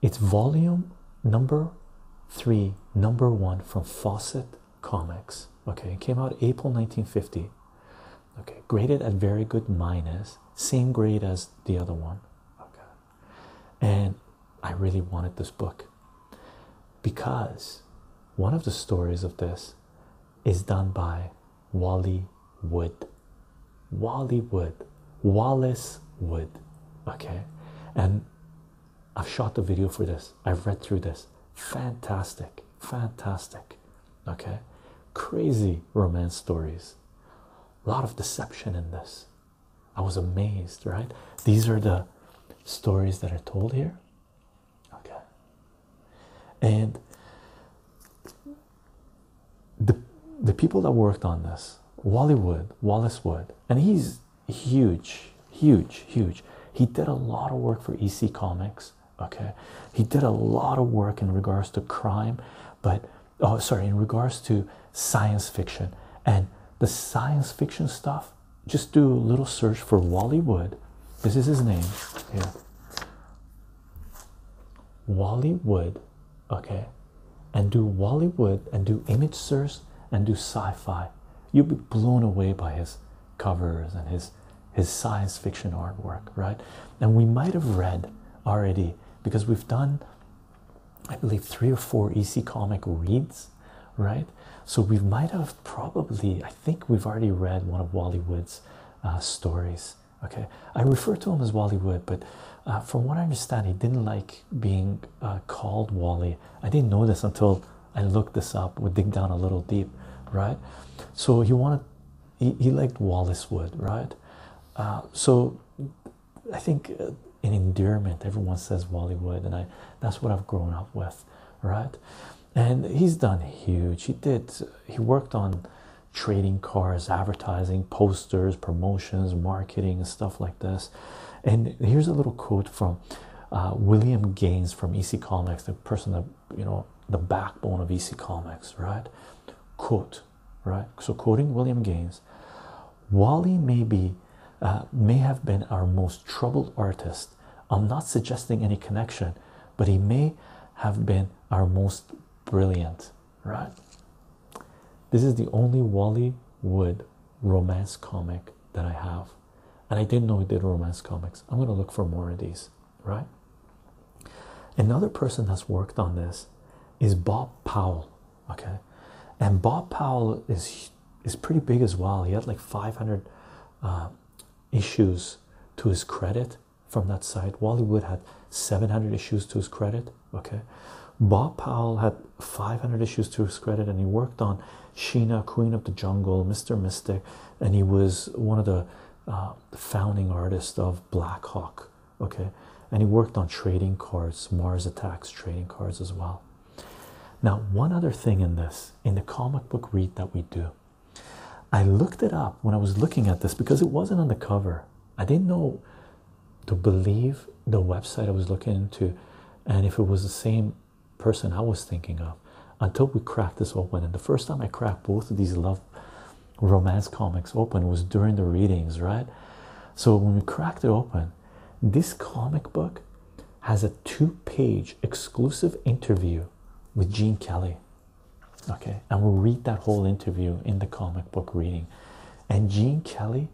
It's volume number three, number one from Fawcett Comics. Okay, it came out April 1950. Okay, graded at very good minus, same grade as the other one. Okay, and I really wanted this book because one of the stories of this is done by Wally Wood. Wally Wood, Wallace Wood. Okay, and I've shot the video for this. I've read through this. Fantastic, fantastic. Okay, crazy romance stories. A lot of deception in this. I was amazed, right? These are the stories that are told here. Okay, and the the people that worked on this, Wally Wood, Wallace Wood, and he's huge, huge, huge. He did a lot of work for EC Comics. Okay, he did a lot of work in regards to crime, but oh, sorry, in regards to science fiction and the science fiction stuff. Just do a little search for Wally Wood. This is his name here. Wally Wood. Okay, and do Wally Wood, and do image Source, and do sci-fi, you'll be blown away by his covers and his his science fiction artwork, right? And we might have read already because we've done, I believe, three or four EC comic reads, right? So we might have probably, I think we've already read one of Wally Wood's uh, stories. Okay, I refer to him as Wally Wood, but uh, from what I understand, he didn't like being uh, called Wally I didn't know this until I looked this up. we dig down a little deep, right? So he wanted, he, liked Wallace Wood, right? Uh, so I think in uh, endearment, everyone says Wally Wood, and I that's what I've grown up with, right? And he's done huge. He did, he worked on trading cars, advertising, posters, promotions, marketing, and stuff like this. And here's a little quote from uh, William Gaines from EC Comics, the person that you know the backbone of EC Comics, right? Quote, right? So quoting William Gaines, Wally may be uh, may have been our most troubled artist. I'm not suggesting any connection, but he may have been our most brilliant, right? This is the only Wally Wood romance comic that I have, and I didn't know he did romance comics. I'm gonna look for more of these, right? Another person that's worked on this is Bob Powell, okay, and Bob Powell is is pretty big as well. He had like 500 uh, issues to his credit from that side. Wally Wood had 700 issues to his credit, okay. Bob Powell had 500 issues to his credit, and he worked on Sheena, Queen of the Jungle, Mr. Mystic, and he was one of the uh, founding artists of Blackhawk. Okay, and he worked on trading cards, Mars Attacks trading cards as well. Now, one other thing in this, in the comic book read that we do, I looked it up when I was looking at this because it wasn't on the cover. I didn't know to believe the website I was looking into and if it was the same person I was thinking of until we cracked this open. And the first time I cracked both of these love romance comics open was during the readings, right? So when we cracked it open, this comic book has a two page exclusive interview with Gene Kelly. Okay, and we'll read that whole interview in the comic book reading. And Gene Kelly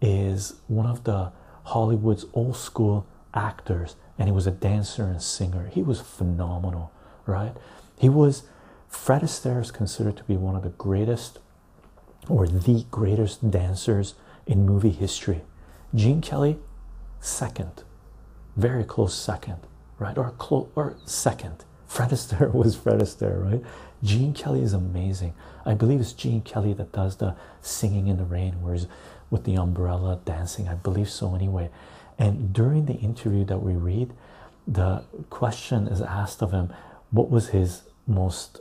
is one of the Hollywood's old school actors, and he was a dancer and singer. He was phenomenal, right? He was Fred Astaire is considered to be one of the greatest or the greatest dancers in movie history. Gene Kelly, second, very close second, right? Or or second. Fred Astaire was Fred Astaire, right? Gene Kelly is amazing. I believe it's Gene Kelly that does the singing in the rain whereas with the umbrella dancing i believe so anyway and during the interview that we read the question is asked of him what was his most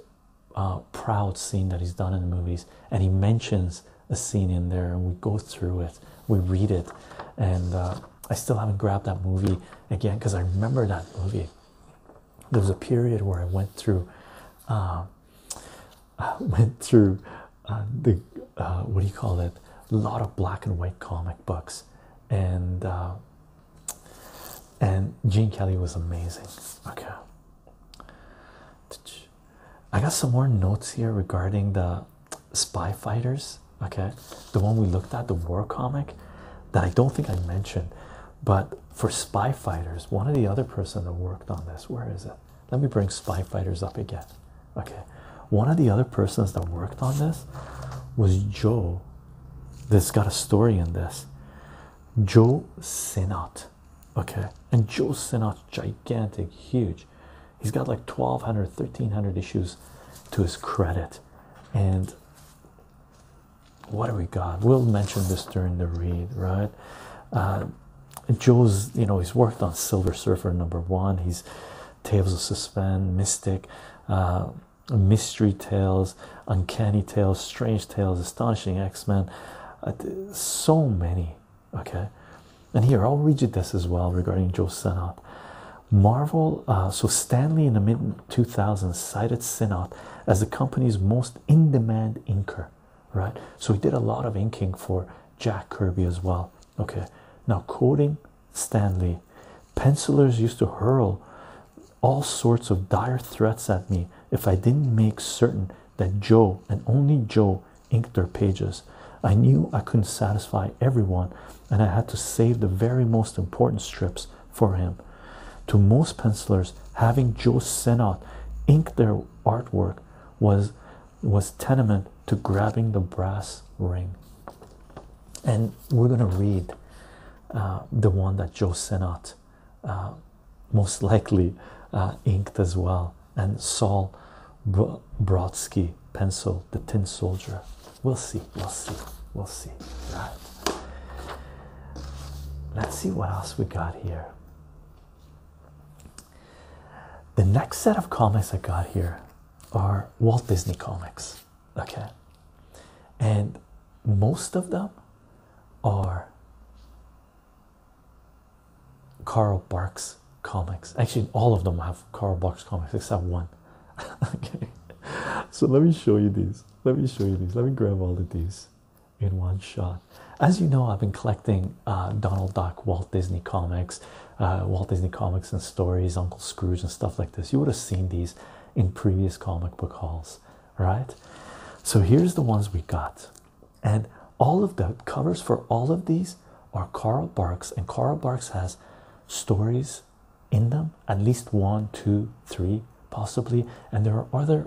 uh, proud scene that he's done in the movies and he mentions a scene in there and we go through it we read it and uh, i still haven't grabbed that movie again because i remember that movie there was a period where I went through, uh, went through uh, the uh, what do you call it? A lot of black and white comic books, and and Gene Kelly was amazing. Okay, I got some more notes here regarding the spy fighters. Okay, the one we looked at, the war comic, that I don't think I mentioned. But for Spy Fighters, one of the other person that worked on this, where is it? Let me bring Spy Fighters up again. Okay, one of the other persons that worked on this was Joe. That's got a story in this. Joe Sinnott. Okay, and Joe Sinnott's gigantic, huge. He's got like 1200, 1300 issues to his credit, and what do we got? We'll mention this during the read, right? Uh, Joe's, you know, he's worked on Silver Surfer number one. He's Tales of Suspense, Mystic, uh, Mystery Tales, Uncanny Tales, Strange Tales, Astonishing X Men. Uh, so many, okay. And here, I'll read you this as well regarding Joe Sinnott. Marvel, so Stanley in the mid 2000s cited Sinnott as the company's most in demand inker right? So he did a lot of inking for Jack Kirby as well. Okay, now quoting Stanley, pencillers used to hurl all sorts of dire threats at me if I didn't make certain that Joe and only Joe inked their pages. I knew I couldn't satisfy everyone, and I had to save the very most important strips for him. To most pencillers, having Joe Senot ink their artwork was was tenement to grabbing the brass ring and we're going to read uh, the one that joe sinnott uh, most likely uh, inked as well and saul brodsky pencil the tin soldier we'll see we'll see we'll see right let's see what else we got here the next set of comics I got here are Walt Disney comics, okay, and most of them are Carl Barks comics. Actually, all of them have Carl Barks comics except one. okay, so let me show you these. Let me show you these. Let me grab all of these in one shot. As you know, I've been collecting uh, Donald Duck, Walt Disney comics, uh, Walt Disney comics and stories, Uncle Scrooge, and stuff like this. You would have seen these in previous comic book hauls, right? So here's the ones we got, and all of the covers for all of these are Carl Barks, and Carl Barks has stories in them at least one, two, three, possibly, and there are other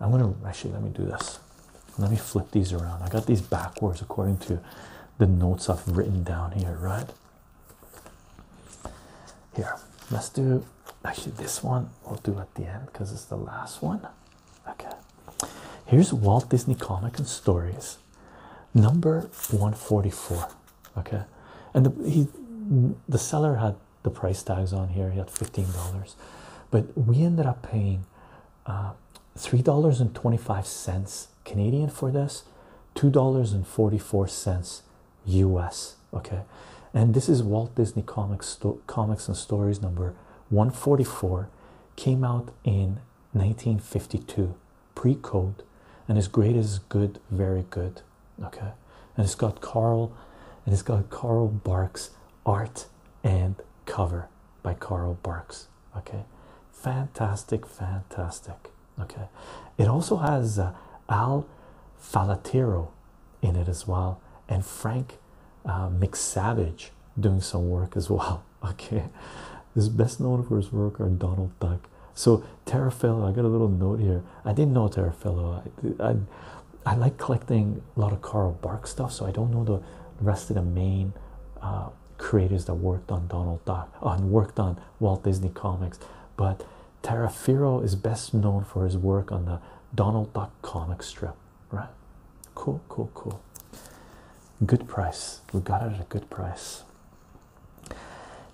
i'm going to actually let me do this let me flip these around i got these backwards according to the notes i've written down here right here let's do actually this one we'll do at the end because it's the last one okay here's walt disney comic and stories number 144 okay and the, the seller had the price tags on here. He had $15, but we ended up paying uh, $3.25 Canadian for this, $2.44 US. Okay, and this is Walt Disney Comics, Comics and Stories number 144, came out in 1952, pre code, and his great is good, very good. Okay, and it's got Carl and it's got Carl Barks art and cover by Carl Barks. Okay, fantastic, fantastic. Okay, it also has uh, Al Falatero in it as well, and Frank uh, McSavage doing some work as well. Okay, is best known for his work on Donald Duck. So Terrafillo, I got a little note here. I didn't know Terrafillo. I, I I like collecting a lot of Carl Barks stuff, so I don't know the rest of the main uh, creators that worked on Donald Duck on worked on Walt Disney comics. But Tarafiro is best known for his work on the Donald Duck comic strip, right? Cool, cool, cool. Good price. We got it at a good price.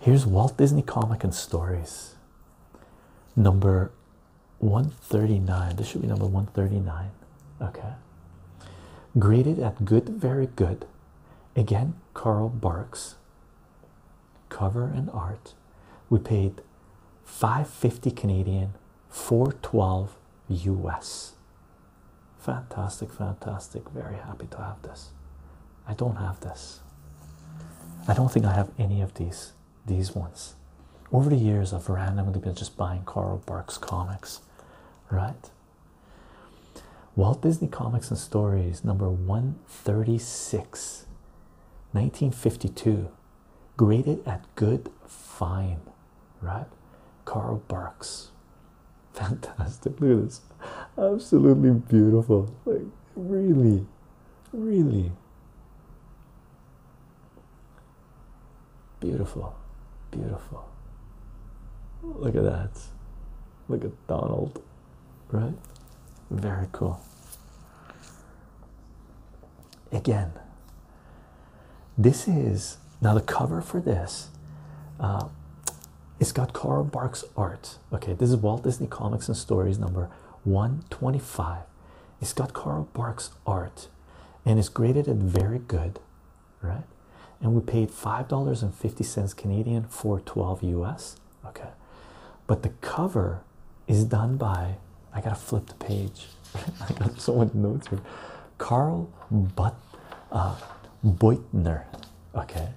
Here's Walt Disney Comic and Stories, number 139 this should be number 139 okay graded at good very good again carl barks cover and art we paid 550 canadian 412 us fantastic fantastic very happy to have this i don't have this i don't think i have any of these these ones. Over the years, I've randomly been just buying Carl Barks comics, right? Walt Disney Comics and Stories, number 136, 1952, graded at good, fine, right? Carl Barks. Fantastic. Look at this. Absolutely beautiful. Like, really, really. Beautiful, beautiful. Look at that. Look at Donald, right? Very cool. Again, this is now the cover for this. Uh, it's got Carl Barks art. Okay, this is Walt Disney Comics and Stories number 125. It's got Carl Barks art and it's graded at very good, right? And we paid $5.50 Canadian for 12 US, okay? But the cover is done by, I gotta flip the page, I got so much notes here. Carl but, uh, Beutner, okay?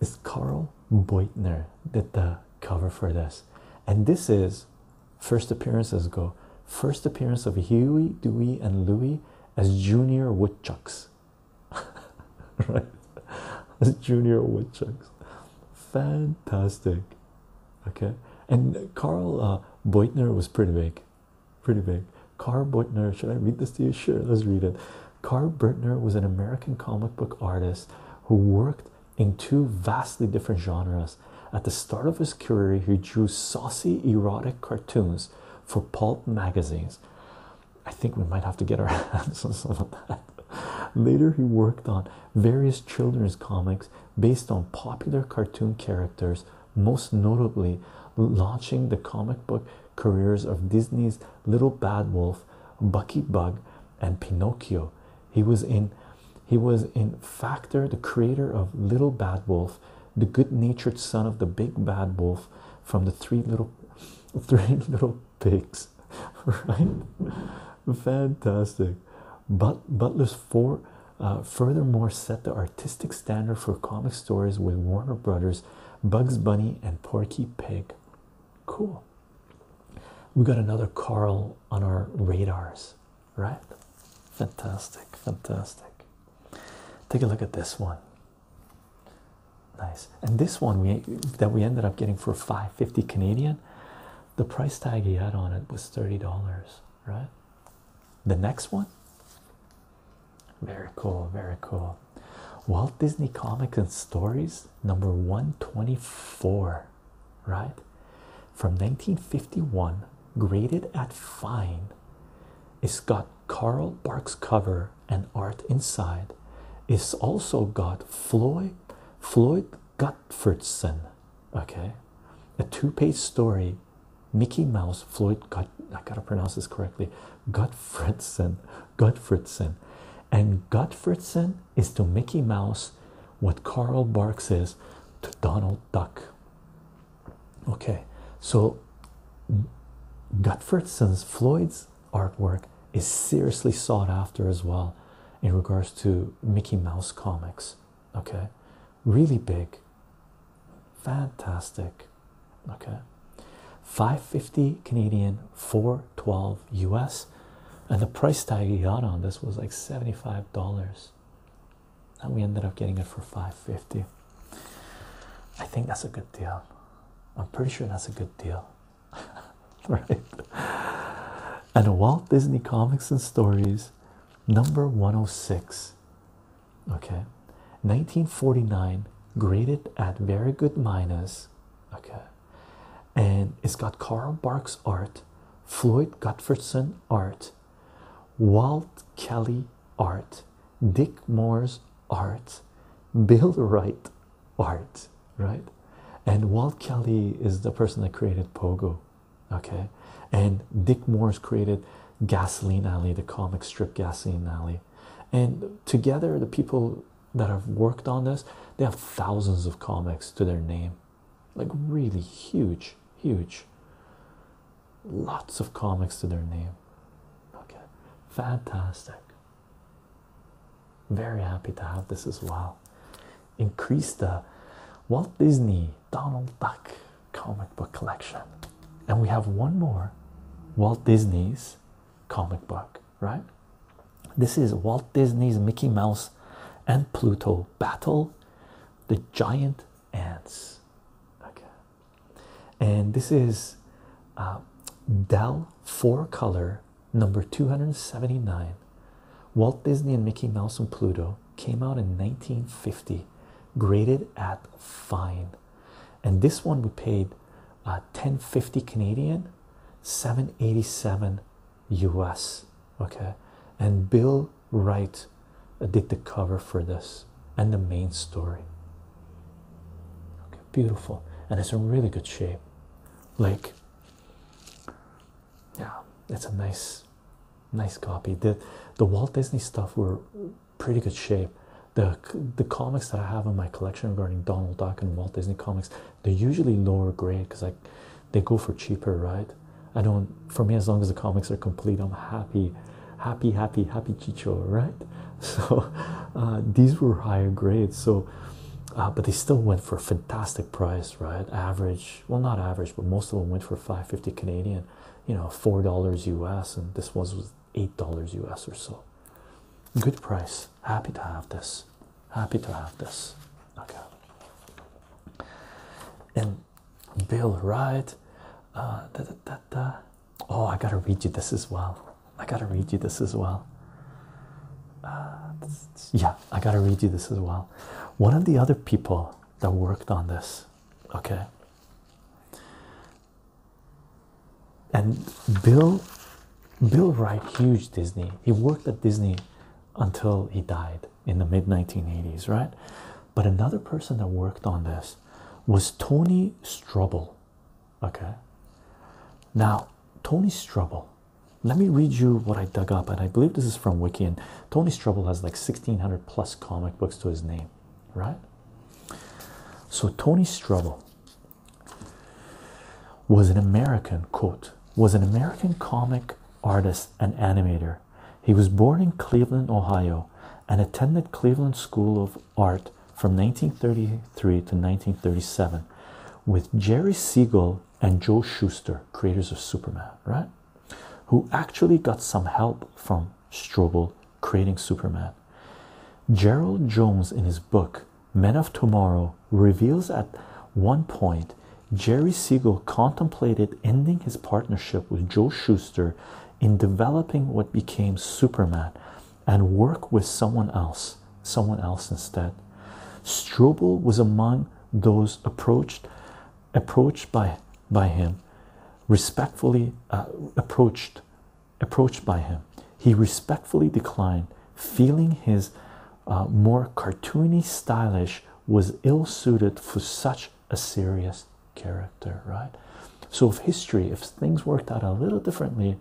Is Carl Beutner did the cover for this, and this is First appearances go. First appearance of Huey, Dewey, and Louie as junior woodchucks. right? As junior woodchucks. Fantastic. Okay. And Carl uh, Beutner was pretty big. Pretty big. Carl Beutner, should I read this to you? Sure, let's read it. Carl Beutner was an American comic book artist who worked in two vastly different genres. At the start of his career, he drew saucy erotic cartoons for pulp magazines. I think we might have to get our hands on some of that. Later, he worked on various children's comics based on popular cartoon characters, most notably launching the comic book careers of Disney's Little Bad Wolf, Bucky Bug, and Pinocchio. He was in he was in Factor, the creator of Little Bad Wolf, the good-natured son of the big bad wolf from the three little three little pigs. Right? Fantastic. But Butler's four uh, furthermore set the artistic standard for comic stories with Warner Brothers, Bugs Bunny, and Porky Pig. Cool we got another Carl on our radars, right? Fantastic, fantastic. Take a look at this one. Nice, and this one we that we ended up getting for 550 Canadian. The price tag he had on it was $30, right? The next one, very cool, very cool. Walt Disney Comics and Stories number 124 right? From 1951, graded at fine. It's got Carl Barks cover and art inside. It's also got Floyd Floyd Gottfredson, okay, a two-page story. Mickey Mouse, Floyd Gut, I gotta pronounce this correctly, Gottfredson, Gottfredson, and Gottfredson is to Mickey Mouse what Carl Barks is to Donald Duck. Okay, so Gutferson's Floyd's artwork is seriously sought after as well in regards to Mickey Mouse comics. Okay, really big, fantastic. Okay, 550 Canadian, 412 US and the price tag he got on this was like $75 and we ended up getting it for 550 dollars i think that's a good deal i'm pretty sure that's a good deal right and walt disney comics and stories number 106 okay 1949 graded at very good minus okay and it's got Carl Barks art, Floyd Gutfredson art, Walt Kelly art, Dick Moore's art, Bill Wright art, right? And Walt Kelly is the person that created Pogo, okay? And Dick Moore's created Gasoline Alley, the comic strip Gasoline Alley. And together, the people that have worked on this, they have thousands of comics to their name like really huge, huge. Lots of comics to their name. Okay, fantastic. Very happy to have this as well. Increase the Walt Disney Donald Duck comic book collection. And we have one more Walt Disney's comic book, right? This is Walt Disney's Mickey Mouse and Pluto Battle the giant ants okay and this is uh, dell four color number 279 walt disney and mickey mouse and pluto came out in 1950 graded at fine and this one we paid 1050 uh, canadian 787 US. Okay, and Bill Wright did the cover for this and the main story. Okay, beautiful, and it's in really good shape. Like, yeah, it's a nice, nice copy. The the Walt Disney stuff were pretty good shape. The the comics that I have in my collection regarding Donald Duck and Walt Disney comics, they're usually lower grade because I they go for cheaper, right? I don't, for me, as long as the comics are complete, I'm happy, happy, happy, happy Chicho, right? So uh, these were higher grades, so uh, but they still went for a fantastic price, right? Average, well, not average, but most of them went for 550 Canadian, you know, four dollars US, and this was, was eight dollars US or so. Good price, happy to have this, happy to have this okay and bill Wright. Uh, oh i gotta read you this as well i gotta read you this as well uh, yeah i gotta read you this as well one of the other people that worked on this okay and bill bill wright huge disney he worked at disney until he died in the mid 1980s, right? But another person that worked on this was Tony Strubble. Okay, now Tony Strubble, let me read you what I dug up, and I believe this is from Wiki. And Tony Strubble has like 1600 plus comic books to his name, right? So, Tony Strubble was an American, quote, was an American comic artist and animator he was born in Cleveland, Ohio, and attended Cleveland School of Art from 1933 to 1937 with Jerry Siegel and Joe Shuster, creators of Superman, right? Who actually got some help from Strobel creating Superman. Gerald Jones, in his book Men of Tomorrow, reveals at one point Jerry Siegel contemplated ending his partnership with Joe Schuster in developing what became Superman and work with someone else, someone else instead. Strobel was among those approached approached by by him, respectfully uh, approached approached by him. He respectfully declined, feeling his uh, more cartoony stylish was ill suited for such a serious character right so if history if things worked out a little differently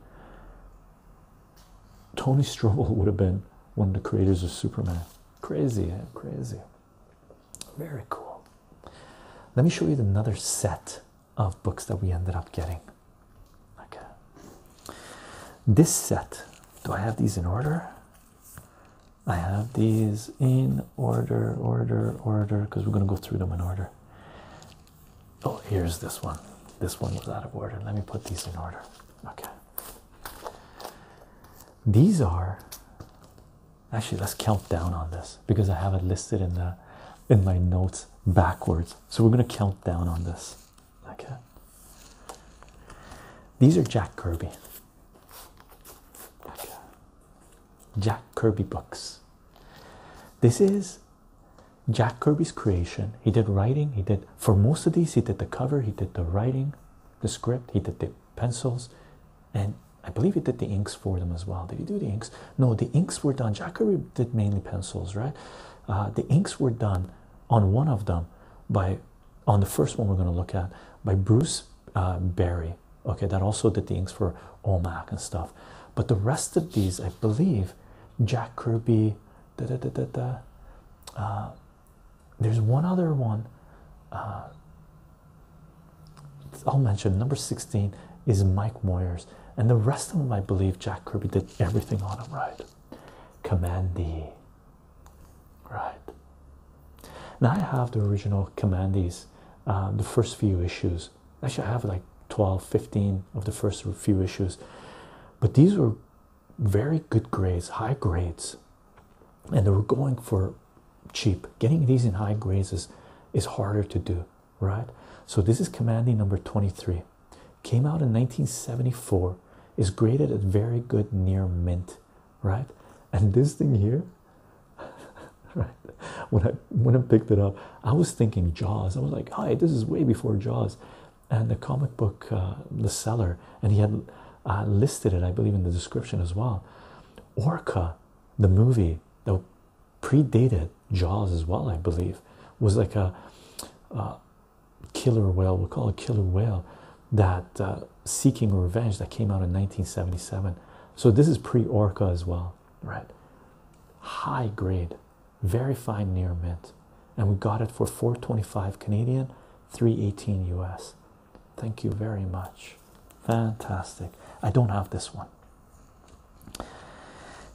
tony strobel would have been one of the creators of superman crazy and eh? crazy very cool let me show you another set of books that we ended up getting okay this set do i have these in order I have these in order, order, order, because we're going to go through them in order. Oh, here's this one. This one was out of order. Let me put these in order. Okay. These are actually let's count down on this because I have it listed in the in my notes backwards. So we're gonna count down on this. Okay. These are Jack Kirby. Jack Kirby books. This is Jack Kirby's creation. He did writing, he did for most of these, he did the cover, he did the writing, the script, he did the pencils, and I believe he did the inks for them as well. Did he do the inks? No, the inks were done. Jack Kirby did mainly pencils, right? Uh, the inks were done on one of them by on the first one we're going to look at by Bruce uh, Berry. Okay, that also did the inks for OMAC and stuff. But the rest of these, I believe, Jack Kirby. Uh, there's one other one. Uh, I'll mention number 16 is Mike Moyers, and the rest of them I believe Jack Kirby did everything on them right. Command D, right now i have the original commandees um, the first few issues actually i have like 12 15 of the first few issues but these were very good grades high grades and they were going for cheap getting these in high grades is, harder to do right so this is commanding number 23 came out in 1974 is graded at very good near mint right? And this thing here, right? When I when I picked it up, I was thinking Jaws. I was like, "Hi, this is way before Jaws," and the comic book, uh, the seller, and he had uh, listed it, I believe, in the description as well. Orca, the movie that predated Jaws as well, I believe, was like a killer whale. We'll call it killer whale that uh, Seeking Revenge that came out in 1977. So this is pre-Orca as well, right? High grade, very fine near mint, and we got it for 425 Canadian, 318 US. Thank you very much. Fantastic. I don't have this one.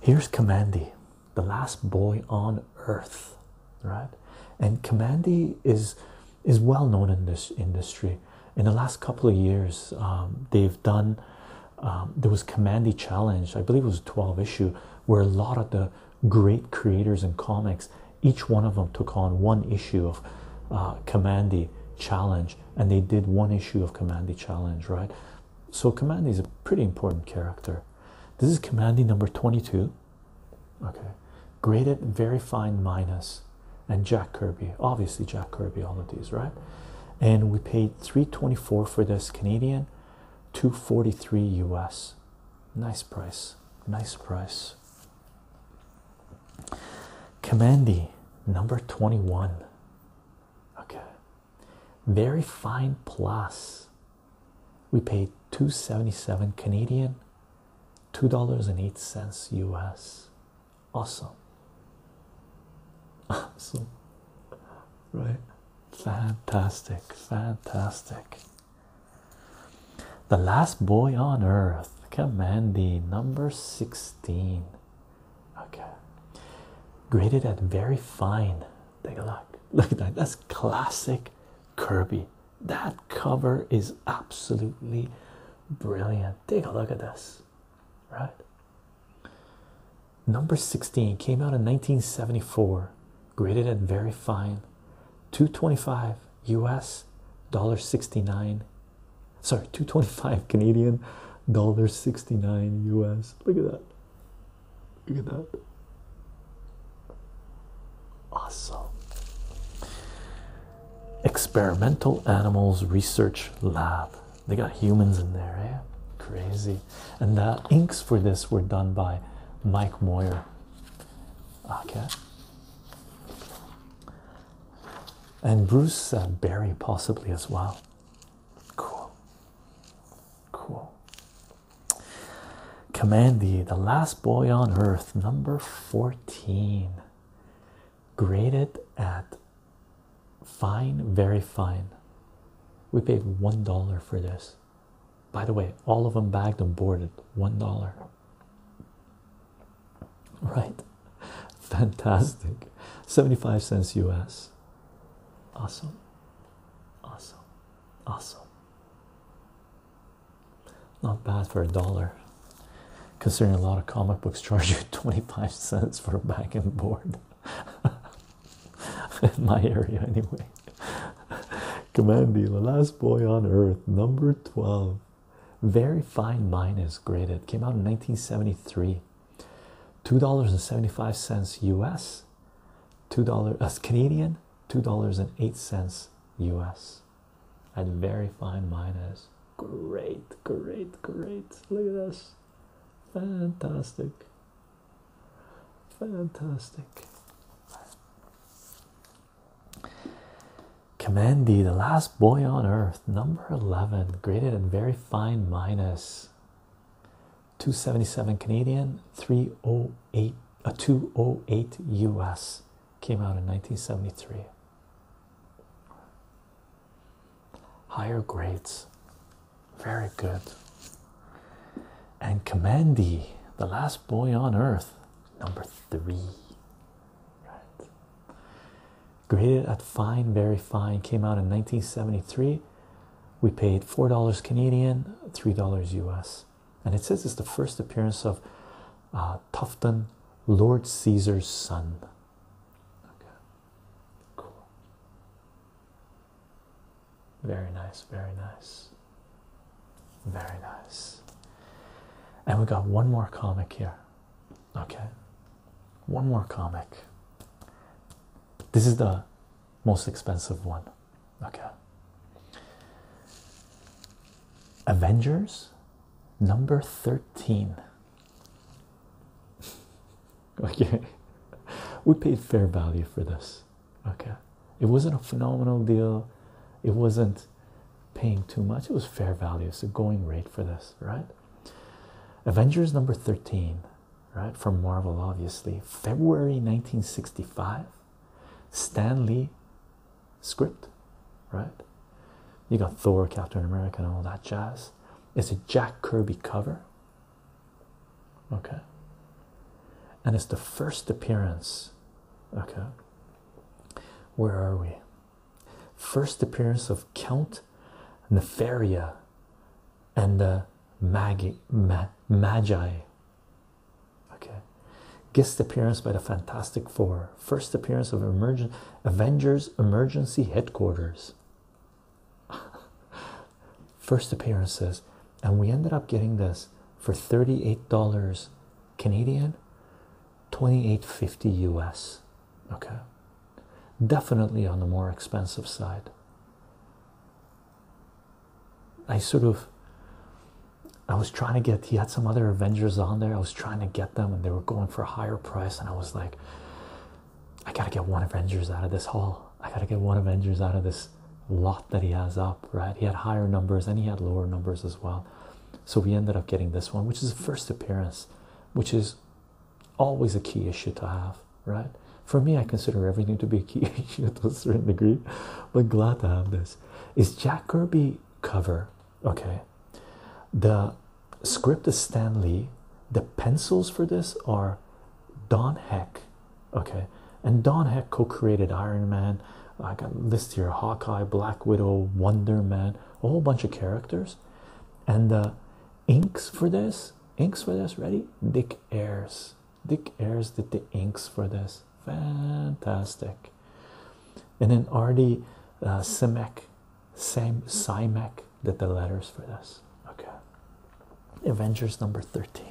Here's Commandi, the last boy on earth, right? and Commandi is is well known in this industry. In the last couple of years, um, they've done um, there was Commandi Challenge, I believe it was 12 issue, where a lot of the great creators in comics, each one of them took on one issue of uh, Commandi Challenge, and they did one issue of Commandi Challenge, right? So Commandi is a pretty important character. This is Commandi number 22 okay graded very fine minus and jack kirby obviously jack kirby all of these right and we paid 324 for this canadian 243 us nice price nice price Commande number 21 okay very fine plus we paid 277 canadian $2.08 US. Awesome. Awesome. Right? Fantastic. Fantastic. The last boy on earth. Commandy number 16. Okay. Graded at very fine. Take a look. Look at that. That's classic Kirby. That cover is absolutely Brilliant. Take a look at this. Right? Number 16 came out in 1974, graded at very fine 225 US dollar 69. Sorry, 225 Canadian dollar 69 US. Look at that. Look at that. Awesome. Experimental Animals Research Lab. They got humans in there, eh? Crazy. And the inks for this were done by Mike Moyer. Okay. Ah, and Bruce Barry possibly as well. Cool. Cool. Commandy, the last boy on earth, number 14 graded at fine, very fine. We paid one dollar for this. By the way, all of them bagged and boarded one dollar. Right, fantastic. 75 cents US. Awesome, awesome, awesome. Not bad for a dollar, considering a lot of comic books charge you 25 cents for a back and board. In my area, anyway. Commandy, the last boy on earth, number 12. Very fine mine is graded. Came out in 1973. $2.75 US, $2 as uh, Canadian, $2.08 US i very fine minus, great, great, great. Look at this. Fantastic. Fantastic. Command the last boy on earth, number 11, graded and very fine minus 277 Canadian, 308, uh, 208 US came out in 1973. Higher grades, very good. And Commandy, the last boy on earth, number three. Right. Graded at fine, very fine, came out in 1973. We paid $4 Canadian, $3 US. And it says it's the first appearance of uh, Tufton, Lord Caesar's son. Okay, cool. Very nice, very nice, very nice. And we got one more comic here. Okay, one more comic. This is the most expensive one. Okay. Avengers number 13 okay we paid fair value for this okay it wasn't a phenomenal deal it wasn't paying too much it was fair value It's a going rate for this right avengers number 13 right from marvel obviously february 1965 stan lee script, right? You got Thor, Captain America, and all that jazz. It's a Jack Kirby cover, okay? And it's the first appearance, okay? Where are we? First appearance of Count Nefaria and the Magi, Magi. Okay, guest appearance by the Fantastic Four first appearance of Avengers Emergency Headquarters. first appearances, and we ended up getting this for $38 Canadian, 28.50 US. Okay, definitely on the more expensive side. I sort of I was trying to get he had some other Avengers on there. I was trying to get them and they were going for a higher price, and I was like, I gotta get one Avengers out of this haul. I gotta get one Avengers out of this lot that he has up, right? He had higher numbers and he had lower numbers as well. So we ended up getting this one, which is a first appearance, which is always a key issue to have, right? For me, I consider everything to be a key issue to a certain degree, but glad to have this. Is Jack Kirby cover okay the script is stan lee the pencils for this are don heck okay and don heck co-created iron man i got a list here hawkeye black widow wonder man a whole bunch of characters and the inks for this inks for this ready dick ayers dick ayers did the inks for this fantastic and then RD uh, Simek, Sam Simek did the letters for this. Okay. Avengers number 13.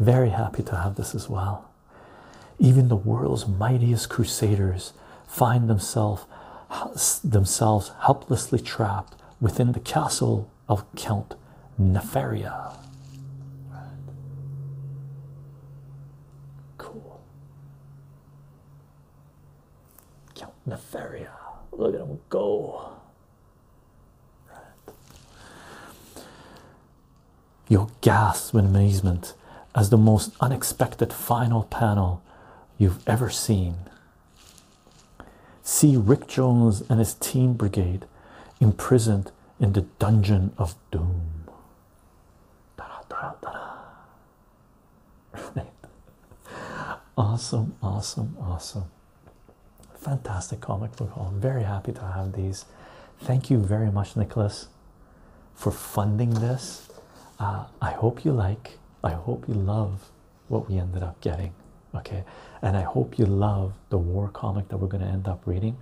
Very happy to have this as well. Even the world's mightiest crusaders find themselves themselves helplessly trapped within the castle of Count Nefaria. Right. Cool. Count Nefaria. Look at him go. You'll gasp in amazement as the most unexpected final panel you've ever seen. See Rick Jones and his team brigade imprisoned in the dungeon of doom. Da -da -da Awesome, awesome, awesome. Fantastic comic book I'm very happy to have these. Thank you very much, Nicholas, for funding this. Uh, I hope you like, I hope you love what we ended up getting. Okay, and I hope you love the war comic that we're going to end up reading,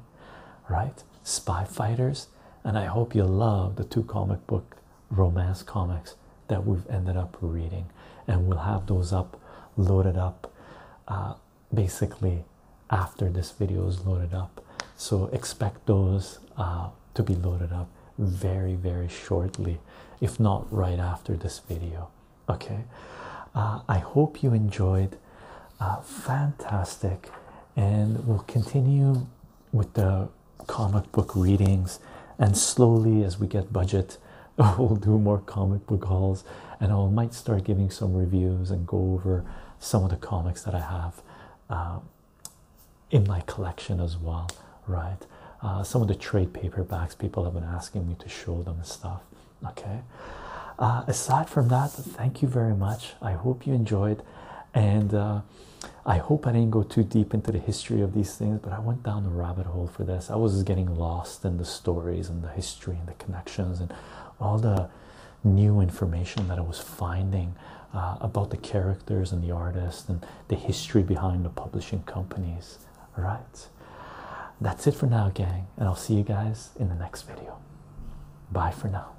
right? Spy Fighters, and I hope you love the two comic book romance comics that we've ended up reading, and we'll have those up loaded up uh, basically after this video is loaded up. So, expect those uh, to be loaded up very, very shortly, if not right after this video. Okay, uh, I hope you enjoyed. fantastic, and we'll continue with the comic book readings, and slowly as we get budget, we'll do more comic book halls, and I might start giving some reviews and go over some of the comics that I have um, in my collection as well, right? Uh, some of the trade paperbacks people have been asking me to show them stuff. Okay. Uh, aside from that, thank you very much. I hope you enjoyed and uh, I hope I didn't go too deep into the history of these things, but I went down the rabbit hole for this. I was getting lost in the stories and the history and the connections and all the new information that I was finding uh, about the characters and the artists and the history behind the publishing companies. Right. that's it for now, gang, and I'll see you guys in the next video. Bye for now.